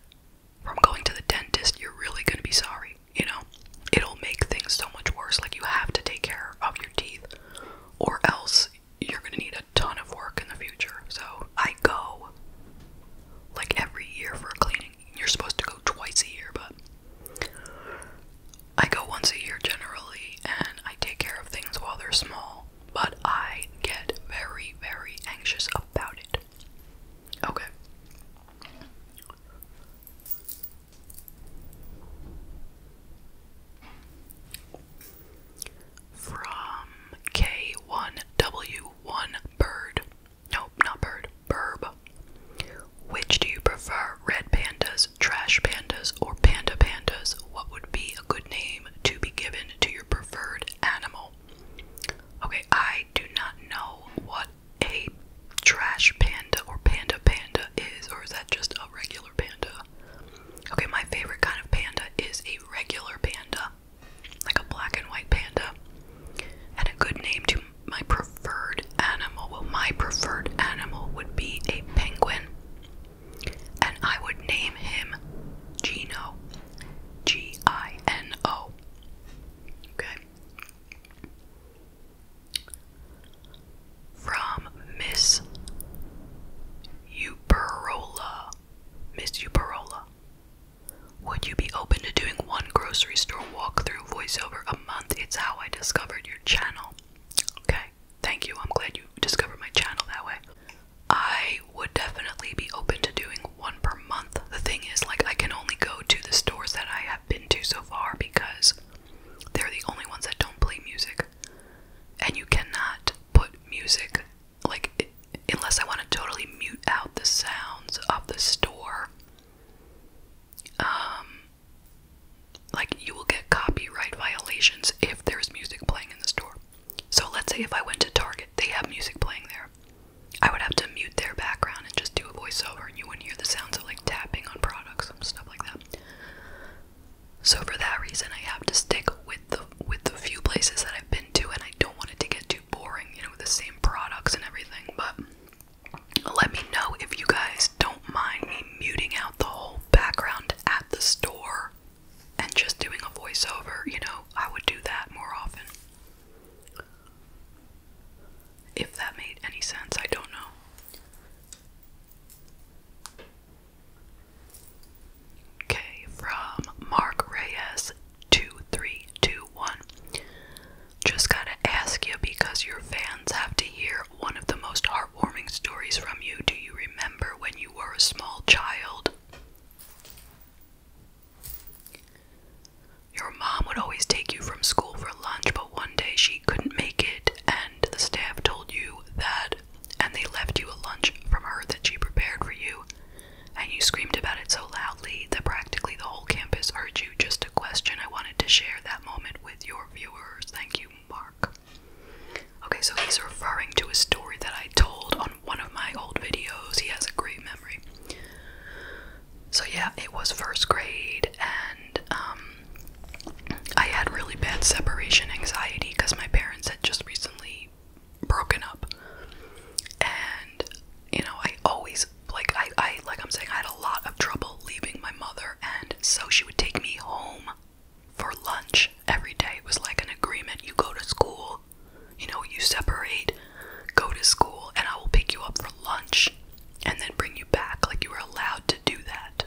from going to the dentist, you're really going to be sorry, you know? It'll make things so much worse. Like, you have to take care of your teeth, or else you're going to need a ton of work in the future. So, I go like every year for a cleaning. You're supposed to go twice a year, but I go once a year generally and I take care of things while they're small, but I get very, very anxious about it. Okay. From K1W1 Bird. Nope, not Bird. Burb. Which do you prefer, red pandas, trash pandas, or panda pandas? What would be a good name to be given to your preferred animal? Okay, I do not know what a trash panda or panda panda is, or is that just a regular panda? Okay, my favorite kind of panda is a regular panda, like a black and white panda. And a good name to my preferred animal, well, my preferred animal would be a penguin, and I would name him Gino. G I N O. Okay. From Miss Uperola. Miss Uperola. Would you be open to doing one grocery store walk-through voiceover a month? It's how I discovered your channel. Okay thank you. I'm glad you discovered my channel that way. I would definitely be open to doing one per month. The thing is, like, I can only go to the stores that I have been to so far because they're the only ones that don't play music. And you cannot put music, like, unless I want to totally mute out the sounds of the store. Um, like you will get copyright violations if there's music playing in the store. So let's say if I went to Target, they have music playing there. I would have to mute their background and just do a voiceover, and you wouldn't hear the sounds of like tapping on products and stuff like that. So for that reason, I have to stick with the with the few places that I've been to, and I don't want it to get too boring, you know, with the same products and everything. But let me know if you guys don't mind me muting out the whole background at the store and just doing a voiceover, you know, I would do that more often. If that made any sense, I don't know. Okay, from Mark Reyes 2321. Just gotta ask you because your fans have to hear one of the most heart heartwarming stories from you. Do you remember when you were a small child? Your mom would always take you from school for lunch, but one day she couldn't make it, and the staff told you that, and they left you a lunch from her that she prepared for you, and you screamed about it so loudly that practically the whole campus heard you. Just a question I wanted to share that moment with your viewers. Thank you, mark. Okay, so he's referring to a story that I told on one of my old videos. He has a great memory. So, yeah, it was first grade, and um, I had really bad separation anxiety because my parents had just recently broken up. And, you know, I always, like, I, I, like I'm saying, I had a lot of trouble leaving my mother, and so she would take me home for lunch every day. It was like an agreement. You go to school, you know, you separate, go to school, and I will pick you up for lunch and then bring you back. Like you were allowed to do that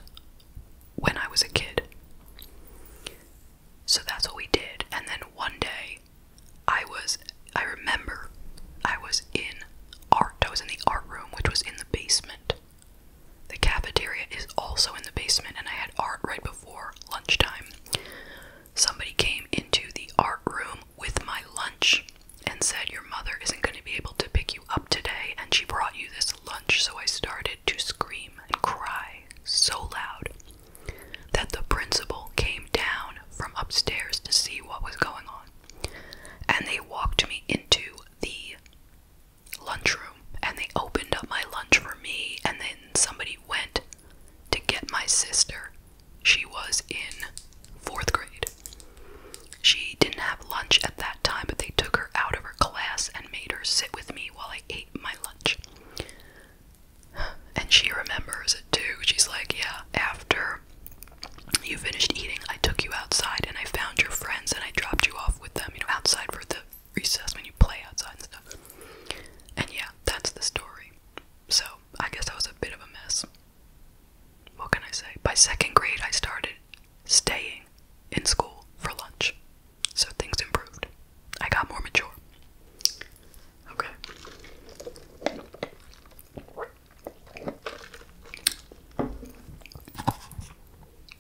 when I was a kid. So that's what we did. And then one day, I was, I remember, I was in art. I was in the art room, which was in the basement. The cafeteria is also in the basement, and I had art right before lunchtime. Somebody came into the art room with my lunch and said, Your mother isn't going to be able to pick you up today, and she brought you this lunch. So I started to scream and cry so loud that the principal came down from upstairs to see what was going on. And they walked me into the lunchroom and they opened up my lunch for me and then somebody went to get my sister. She was in 4th grade. She didn't have lunch at that time, but they took her out of her class and made her sit with me while I ate my lunch. And she remembers it too. She's like, "Yeah, after you finished eating, I took you outside and I found your friends and I dropped you off with them, you know, outside for the recess when you play outside and stuff. And yeah, that's the story. So I guess that was a bit of a mess. What can I say? By second grade, I started staying in school for lunch. So things improved. I got more mature. Okay.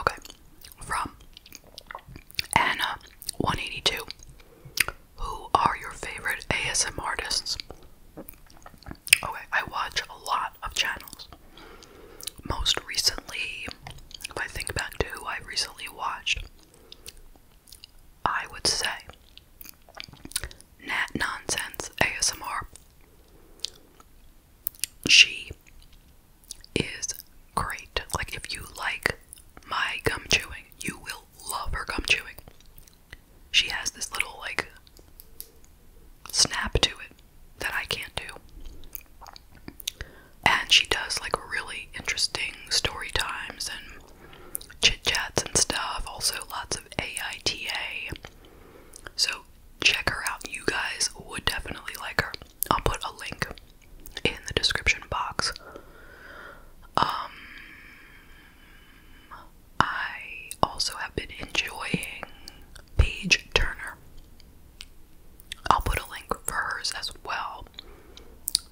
Okay, from Anna 182. Who are your favorite ASMR artists? Okay, I watch a lot of channels. Most recently, if I think back to who I recently watched, I would say Nat Nonsense ASMR. She is great. Like, if you like my gum chewing, you will love her gum chewing. She has this little, like, snap to it that I can't do. And she does, like, really interesting story times and chit chats and stuff. Also, lots of AITA. So, check her out. You guys would definitely like her. I'll put a link in the description box. Um, I also have been enjoying Paige Turner. I'll put a link for hers as well.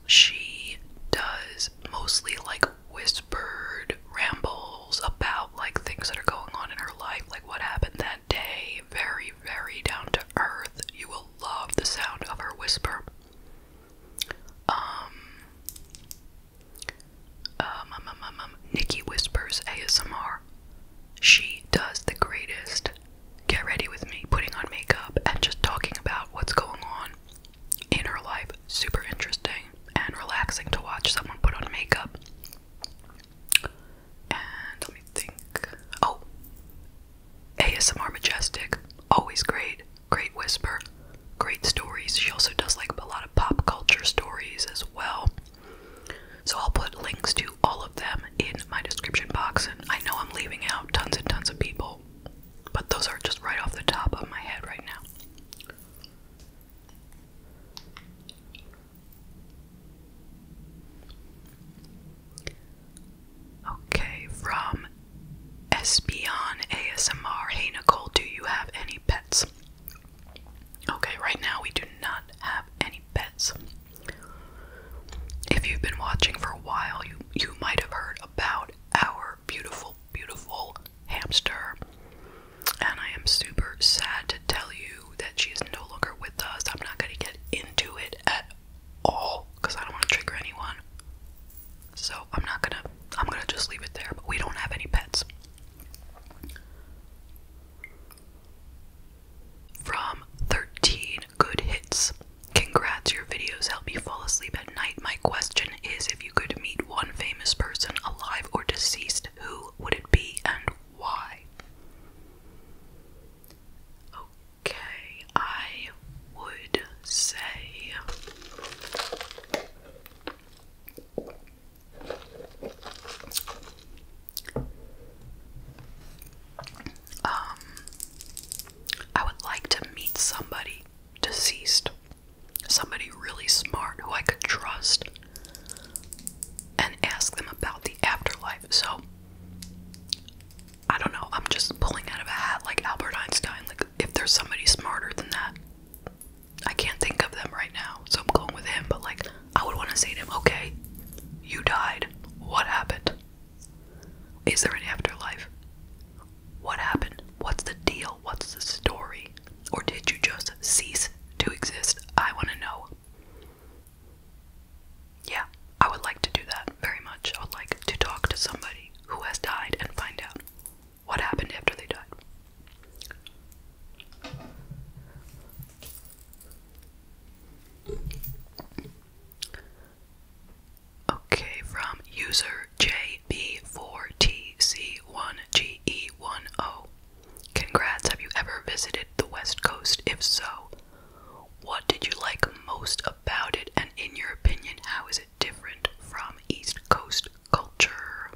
She does mostly like whispered rambles about like things that are going on in her life, like what happened that day, very very, down to earth. You will love the sound of her whisper. Um, um, um, um, Nikki Whispers ASMR. She does the greatest. Get ready with me, putting on makeup and just talking about what's going on in her life. Super interesting and relaxing to watch someone put on makeup. And let me think. Oh, ASMR Majestic, always great, great whisper, great stories. She also does like a lot of pop culture stories as well. So I'll put links to all of them in my description box. And I know I'm leaving out tons and tons of people, but those are just right off the top of my head right now. Okay, from Espion ASMR. Hey Nicole, do you have any pets? Okay, right now we do not have any pets. If you've been watching for a while, you you might have heard about our beautiful, beautiful hamster. And I am super sad to tell you that she is no longer with us. I'm not gonna get into it at all because I don't want to trigger anyone. So I'm not gonna, I'm gonna just leave it there, but we don't have any pets. From 13 Good Hits. Congrats, your videos help you fall asleep at night. My question is if you could meet one famous person, alive or deceased, who would it be and why? Okay, I would say um I would like to meet somebody deceased. Somebody really smart who I could trust and ask them about the afterlife. So I don't know. I'm just pulling out of a hat like Albert Einstein. Like, if there's somebody smarter than that, I can't think of them right now. So I'm going with him. But, like, I would want to say to him, okay, you died. What happened? Is there an afterlife? What happened? What's the deal? What's the story? Or did you just cease to exist? I want to know. Yeah, I would like to do that very much. I would like to talk to somebody who has died and find out what happened after they died. Okay, from user JB4TC1GE10. Congrats, have you ever visited the West Coast? If so, what did you like most about it, and in your opinion, how is it different from East Coast culture?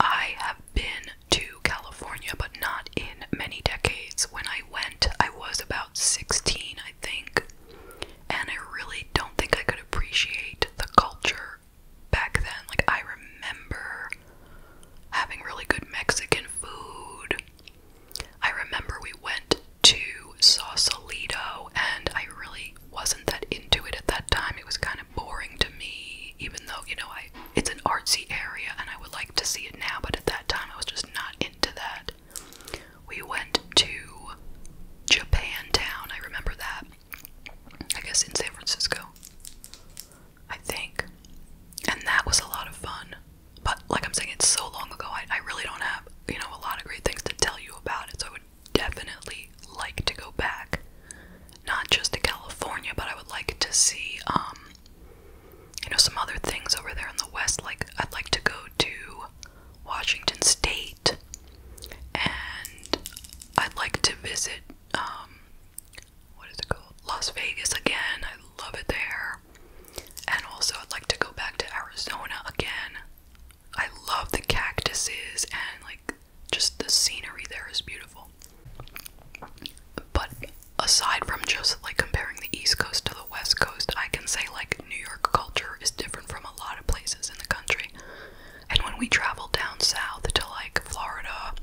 I have been to California, but not in many decades. When I went, I was about 16, I think, and I really don't think I could appreciate the culture back then. Like, I remember having really good Mexican food. I remember we went to Saucelito, and I really wasn't that into it at that time. It was kind of boring to me, even though, you know, I it's an artsy area and I would like to see it now, but at that time I was just not into that. We went to Japan Town. I remember that. I guess in San Francisco. I think. And that was a lot of fun. But like I'm saying, it's so long ago. I, I really don't have, you know, a lot of great things to tell you about it. So I would definitely like to go back. Not just to California, but I would like to see um you know some other things over there in the west. Like I'd like to go to Washington State and I'd like to visit um what is it called? Las Vegas again. I love it there. And also, I'd like to go back to Arizona again. I love the cactuses and like just the scenery there is beautiful. But aside from just like comparing the East Coast to the West Coast, I can say like New York culture is different from a lot of places in the country. And when we travel down south to like Florida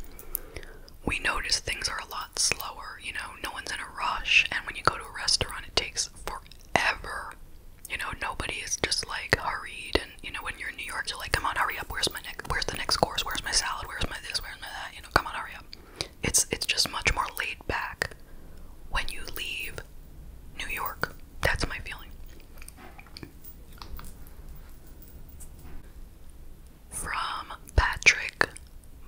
we notice things are a lot slower, you know, no one's in a rush, and when you go to a restaurant, it takes forever. You know, nobody is just like hurried, and you know, when you're in New York, you're like, come on, hurry up. Where's my next? Where's the next course? Where's my salad? Where's my this? Where's my that? You know, come on, hurry up. It's it's just much more laid back when you leave New York. That's my feeling from Patrick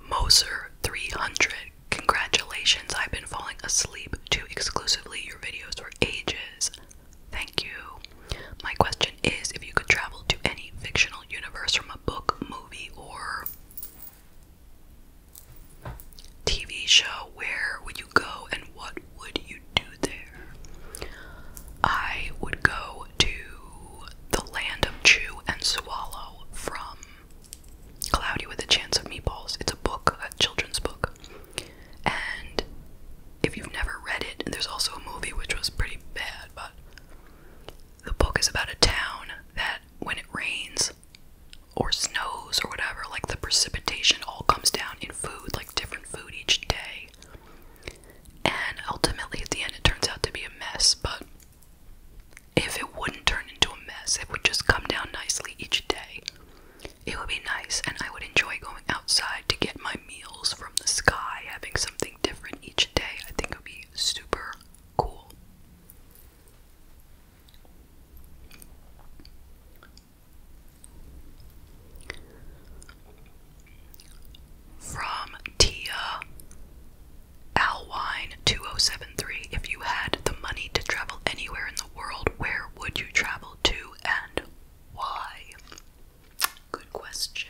Moser 300. Congratulations, I've been falling asleep to exclusively your videos for ages. Thank you. My question is if you could travel to any fictional universe from a book, movie, or TV show, where would you go and what would you do there? I would go to the land of Chew and Swallow from Cloudy with a Chance of Meatballs. It's a book, a children's book. And if you've never read it, there's also a movie which was pretty bad, but the book is about a town that when it rains or snows or whatever, like the precipitation all comes down in food, like different food each day. And ultimately, at the end, it turns out to be a mess. But if it wouldn't turn into a mess, it would just come down nicely each day. It would be nice, and I would enjoy going outside to get my meals from the sky, having something different each day. I think it would be super cool. From Tia Alwine 2073 If you had the money to travel anywhere in the world, where would you travel to and why? Good question.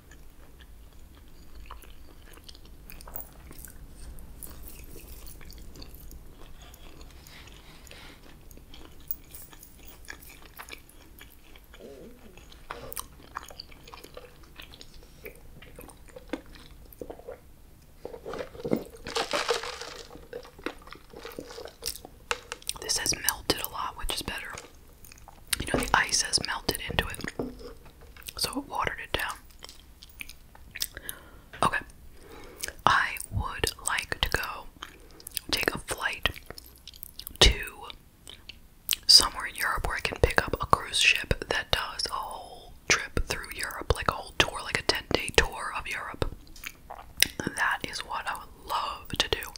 This has melted a lot, which is better. You know, the ice has melted into it. So watered it down. Okay. I would like to go take a flight to somewhere in Europe where I can pick up a cruise ship that does a whole trip through Europe, like a whole tour, like a 10 day tour of Europe. That is what I would love to do.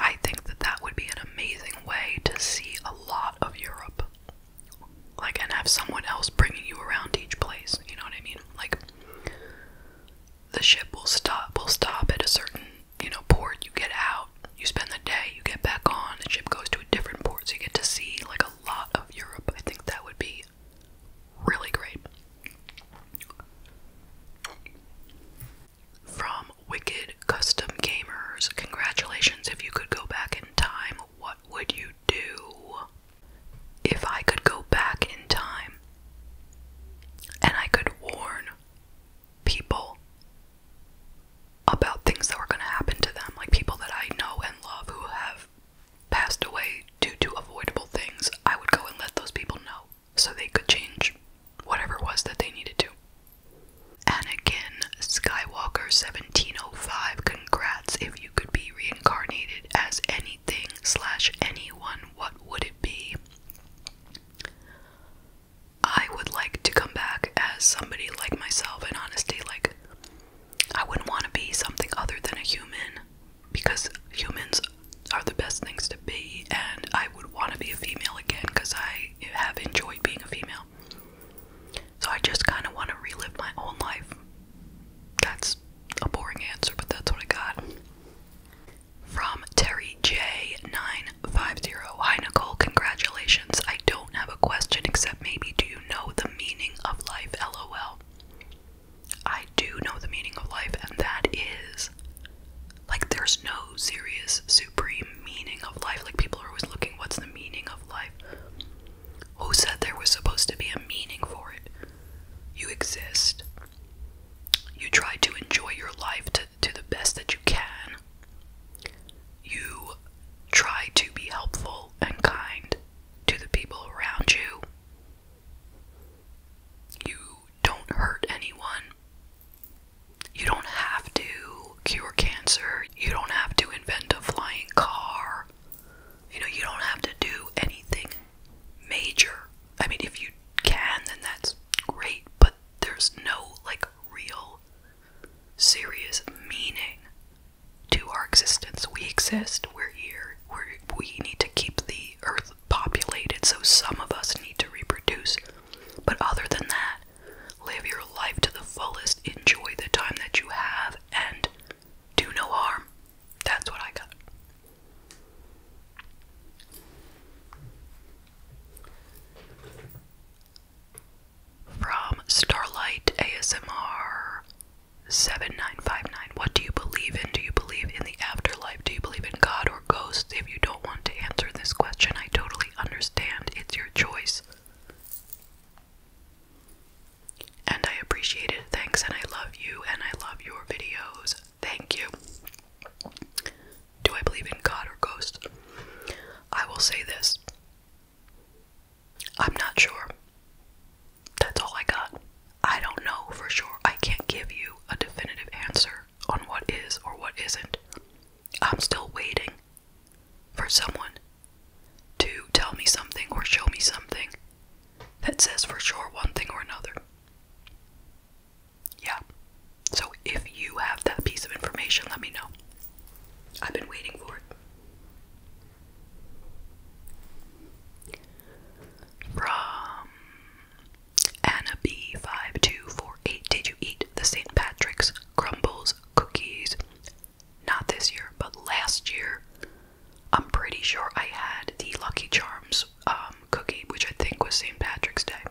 I think that that would be an amazing way to see a lot of Europe like and have someone else bringing you around to each place you know what i mean like the ship will stop will stop at a certain you know port you get out you spend the day you get back on the ship goes to a different port so you get to see like a lot of europe i think that would be really great from wicked Custom Gamers, congratulations. If you could go back in time, what would you do? If I could go back in time and I could warn people about things that were going to happen to them, like people that I know and love who have passed away due to avoidable things, I would go and let those people know so they could change whatever it was that they needed to. Anakin Skywalker 1705 congrats if you could be reincarnated as anything slash anyone what would it be? I would like to come back as somebody like myself in honesty like I wouldn't want to be something other than a human because humans are the best things to be and I would want to be a female again because I have enjoyed being a female. So I just kind of want to relive my own life. That's a boring answer, but that's what I got. From Terry J950. Hi Nicole, congratulations. I don't have a question except maybe do you know the meaning of life? LOL. I do know the meaning of life, and that is like there's no serious, supreme meaning of life. Like people are always looking, what's the meaning of life? Who said there was supposed to be a meaning for it? You exist. You try to enjoy your life to, to the best that you can. You try to be helpful and kind to the people around you. You don't hurt anyone. You don't have to cure cancer. You don't have to invent a flying car. You know, you don't have to do anything major. I mean, if you can, then that's great, but there's no like real serious meaning to our existence. We exist, we're here, we we need to keep the earth populated, so some of us need to reproduce. But other than that, Live your life to the fullest, enjoy the time that you have, and do no harm. That's what I got. From Starlight ASMR 7959. What do you believe in? Do you believe in the afterlife? Do you believe in God or ghosts? If you don't want to answer this question, I totally understand. It's your choice. And I appreciate it. Thanks, and I love you, and I love your videos. Thank you. Do I believe in God or ghosts? I will say this I'm not sure. That's all I got. I don't know for sure. I can't give you a definitive answer on what is or what isn't. I'm still waiting for someone to tell me something or show me something that says for sure one thing or another. Yeah. So if you have that piece of information, let me know. I've been waiting for it. From Anna B5248. Did you eat the St. Patrick's crumbles, cookies, not this year, but last year, I'm pretty sure I had the Lucky Charms um, cookie, which I think was St. Patrick's Day.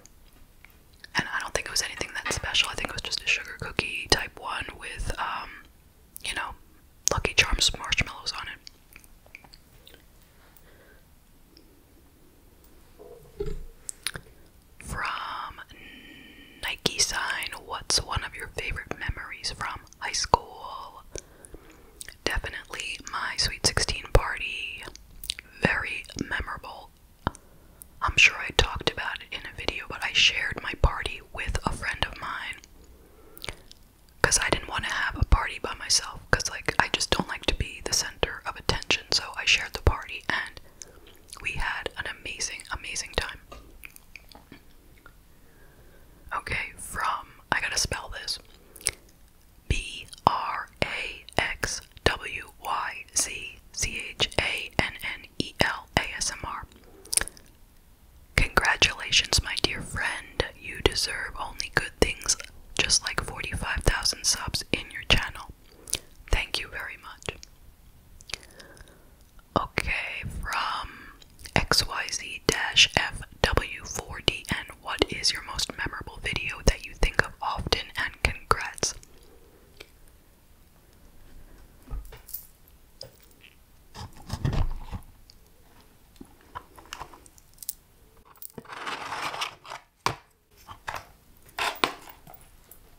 And I don't think it was anything that special. I think it was just a sugar cookie type one with, um, you know, Lucky Charms marshmallows on it. From Nike Sign, what's one of your favorite memories from high school? Definitely my Sweet 16 party. Very memorable. I'm sure I talked about it in a video, but I shared my party with a friend of mine. Because I didn't want to have a party by myself, because, like, I just don't like to be the center of attention, so I shared the party, and we had an amazing, amazing time. Okay, from, I gotta spell this B R A X W Y Z C H A N N E L A S M R. Congratulations, my dear friend. You deserve only good things, just like 45,000 subs in your channel. Thank you very much. Okay, from XYZ-FW4D, and what is your most memorable video that you think of often, and congrats.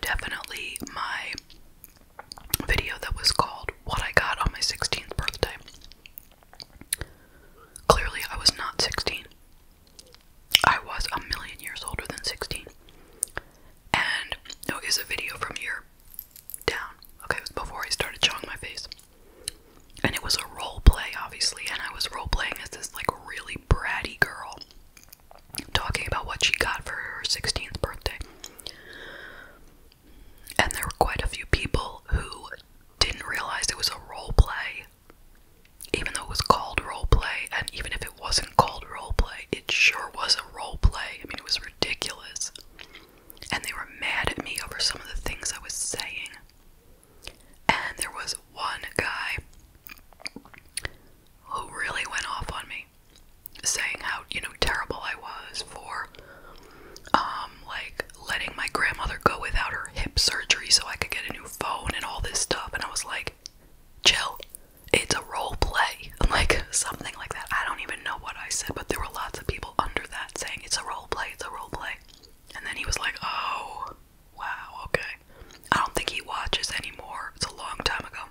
Definitely my video that was called What I Got on My 16th Birthday. Clearly, I was not 16. I was a million years older than 16. And no, oh, is a video from here down. Okay, it was before I started showing my face and it was a role play, obviously, and I was role playing as this like really bratty girl talking about what she got for her 16th birthday. And there were quite a few people who didn't realize it was a role play, even though it was called role play, and even if it wasn't called role play, it sure was a role play. I mean, it was ridiculous. And they were mad at me over some of the things I was saying. And there was one guy who really went off on me, saying how, you know, terrible I was for um like letting my grandmother go without her hip surgery so I could get a new phone and all this stuff and I was like, chill, it's a role play. (laughs) Like something like that. I don't even know what I said, but there were lots of people under that saying it's a role play, it's a role play. And then he was like, Oh, Wow, okay. I don't think he watches anymore. It's a long time ago.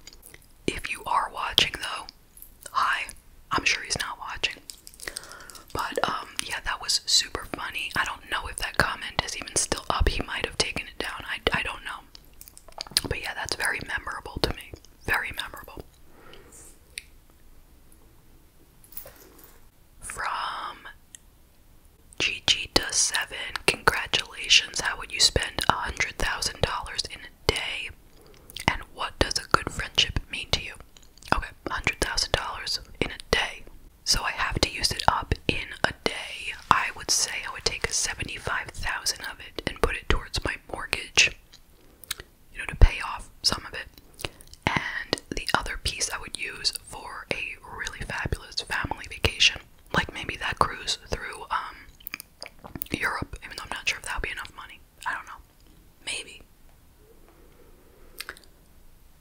If you are watching though, hi. I'm sure he's not watching. But um yeah, that was super funny. I don't know if that comment is even still up. He might have taken it down. I I don't know. But yeah, that's very memorable to me. Very memorable. From Gigi does seven. Congratulations. How would you spend a hundred thousand dollars in a day? And what does a good friendship mean to you? Okay, hundred thousand dollars in a day. So I have to use it up in a day. I would say I would take seventy-five thousand of it and put it towards my mortgage. You know, to pay off some of it. And the other piece I would use for a really fabulous family vacation. Like maybe that cruise through um, Europe, even though I'm not sure if that would be enough money. I don't know. Maybe.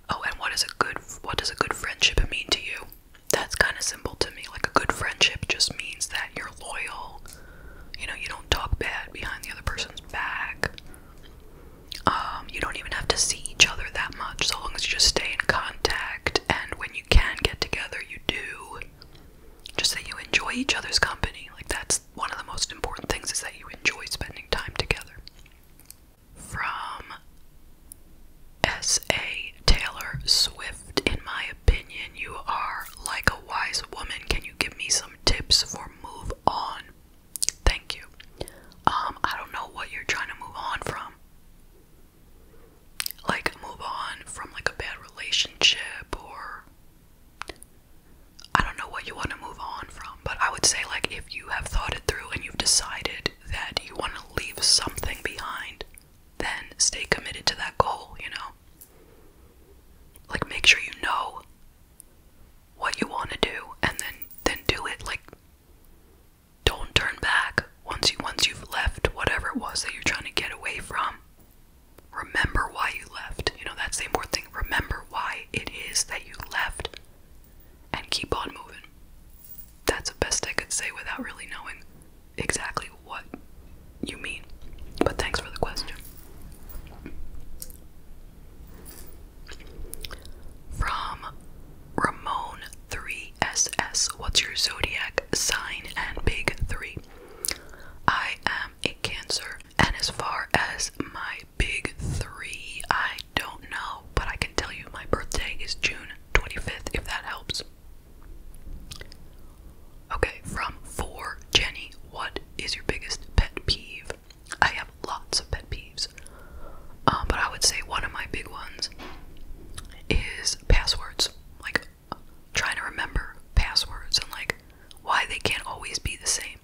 Oh, and what is a good what does a good friendship mean to you? That's kind of simple to me. Like a good friendship just means that you're loyal. You know, you don't talk bad behind the other person's back. Um, you don't even have to see each other that much, so long as you just stay in contact. And when you can get together, you do. Just that you enjoy each other's company. Like that's one of the most important things is that you enjoy spending time together. From S.A. Taylor Swift, in my opinion, you are like a wise woman. Can you give me some tips for move on Thank you. Um, I don't know what you're trying to move on from. Like, move on from like a bad relationship, or I don't know what you want to move on from, but I would say, like, if you have thought it through and you've decided that you want to leave something behind, then stay committed to that goal, you know? Like, make sure you know what you want to do and then then do it like don't turn back once you once you've left whatever it was that you're trying to get away from remember why you left you know that's the important thing remember why it is that you left and keep on moving that's the best i could say without really knowing exactly what you mean but thanks for the question from Ramon 3SS. What's your zodiac sign and big three? I am a Cancer. And as far as my big three, I don't know, but I can tell you my birthday is June 25th, if that helps. Okay, from 4 Jenny, what is your biggest pet peeve? I have have lots of pet peeves. Um, but I would say one of my big ones is passwords. Like trying to remember passwords and like why they can't always be the same.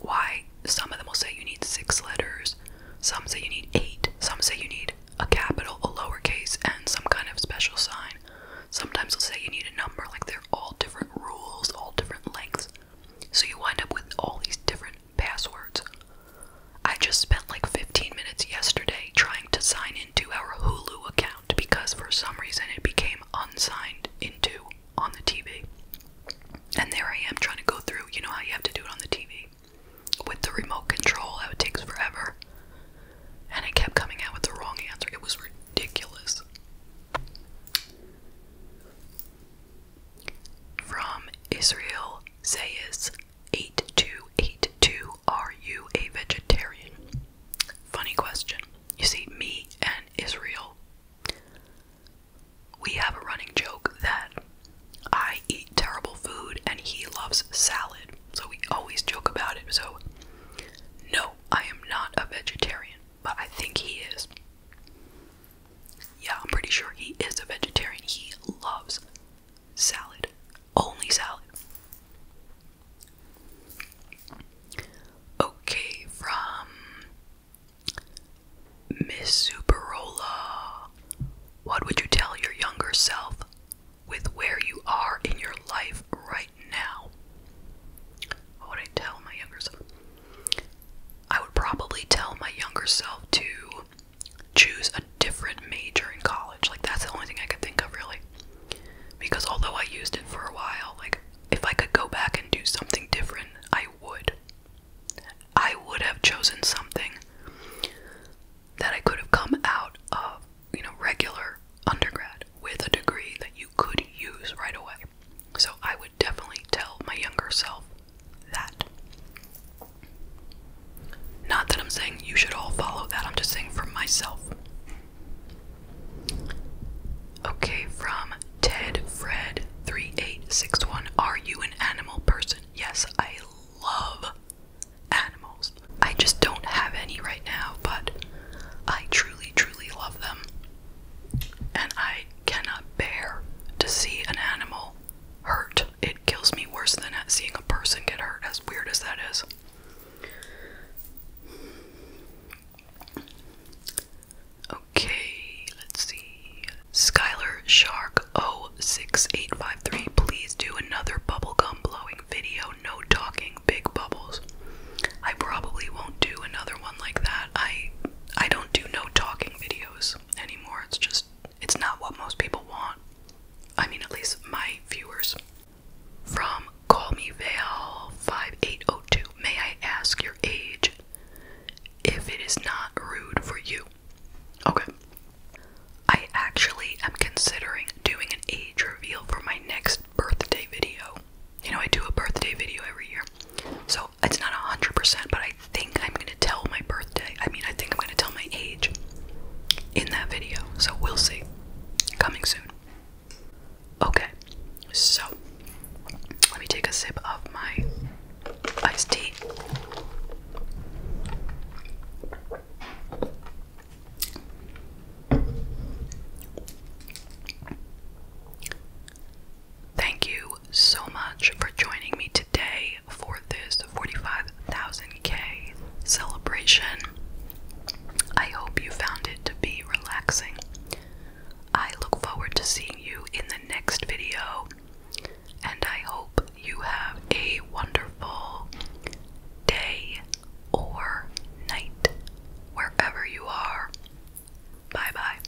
Why some of them will say you need six letters, some say you need eight, some say you need a capital, a lowercase, and some kind of special sign. Sometimes they'll say you need a number, like they're all different rules, all different lengths. So you wind up with all these different passwords. I just spent like 15 minutes yesterday trying to sign into our Hulu account because for some reason it became unsigned into on the TV. And there I am trying to go through, you know how you have to do it on the TV with the remote control, how it takes forever. And it kept coming out with the wrong answer. It was ridiculous. From Israel Zayas 8282 Are you a vegetarian? Funny question. You see, me and Israel, we have a running joke that I eat terrible food and he loves salad, so we always joke about it. So, no, I am not a vegetarian, but I think he is. Yeah, I'm pretty sure he is a vegetarian. He loves salad. Only salad. Okay, from Miss Superola. What would you tell your younger self with where you are in your life right now? What would I tell my younger self? I would probably tell my younger self to choose a different major in college. Like that's the only thing I could think of really. Because although I used it for a while, like if I could go back and do something different, I would. I would have chosen something that I could have come out of, you know, regular undergrad with a degree that you could use right away. So I would definitely tell my younger self that. Not that I'm saying you should all follow that, I'm just saying for myself. Okay, from Ted Fred 3861. Are you an animal person? Yes, I love animals. I just don't have any right now, but I truly, truly love them. And I cannot bear to see an animal hurt it kills me worse than seeing a person get hurt, as weird as that is. Okay, let's see. Skylar Shark 06853, please do another bubblegum blowing video. No talking, big bubbles. I probably won't do another one like that. I I don't do no talking videos anymore. It's just it's not what most people want. I mean, at least my viewers. From Call Me Vale 5802, may I ask your age if it is not rude for you? Okay. I actually am considering doing an age reveal for my next birthday video. You know, I do a birthday video every year. So it's not 100%, but I think I'm going to tell my birthday. I mean, I think I'm going to tell my age in that video. So we'll see. Coming soon. Okay, so let me take a sip of my iced tea. Thank you, so much for joining me today for this 45,000K celebration. I hope you found it to be relaxing. I look forward to seeing you in the next video, and I hope you have a wonderful day or night wherever you are. Bye bye.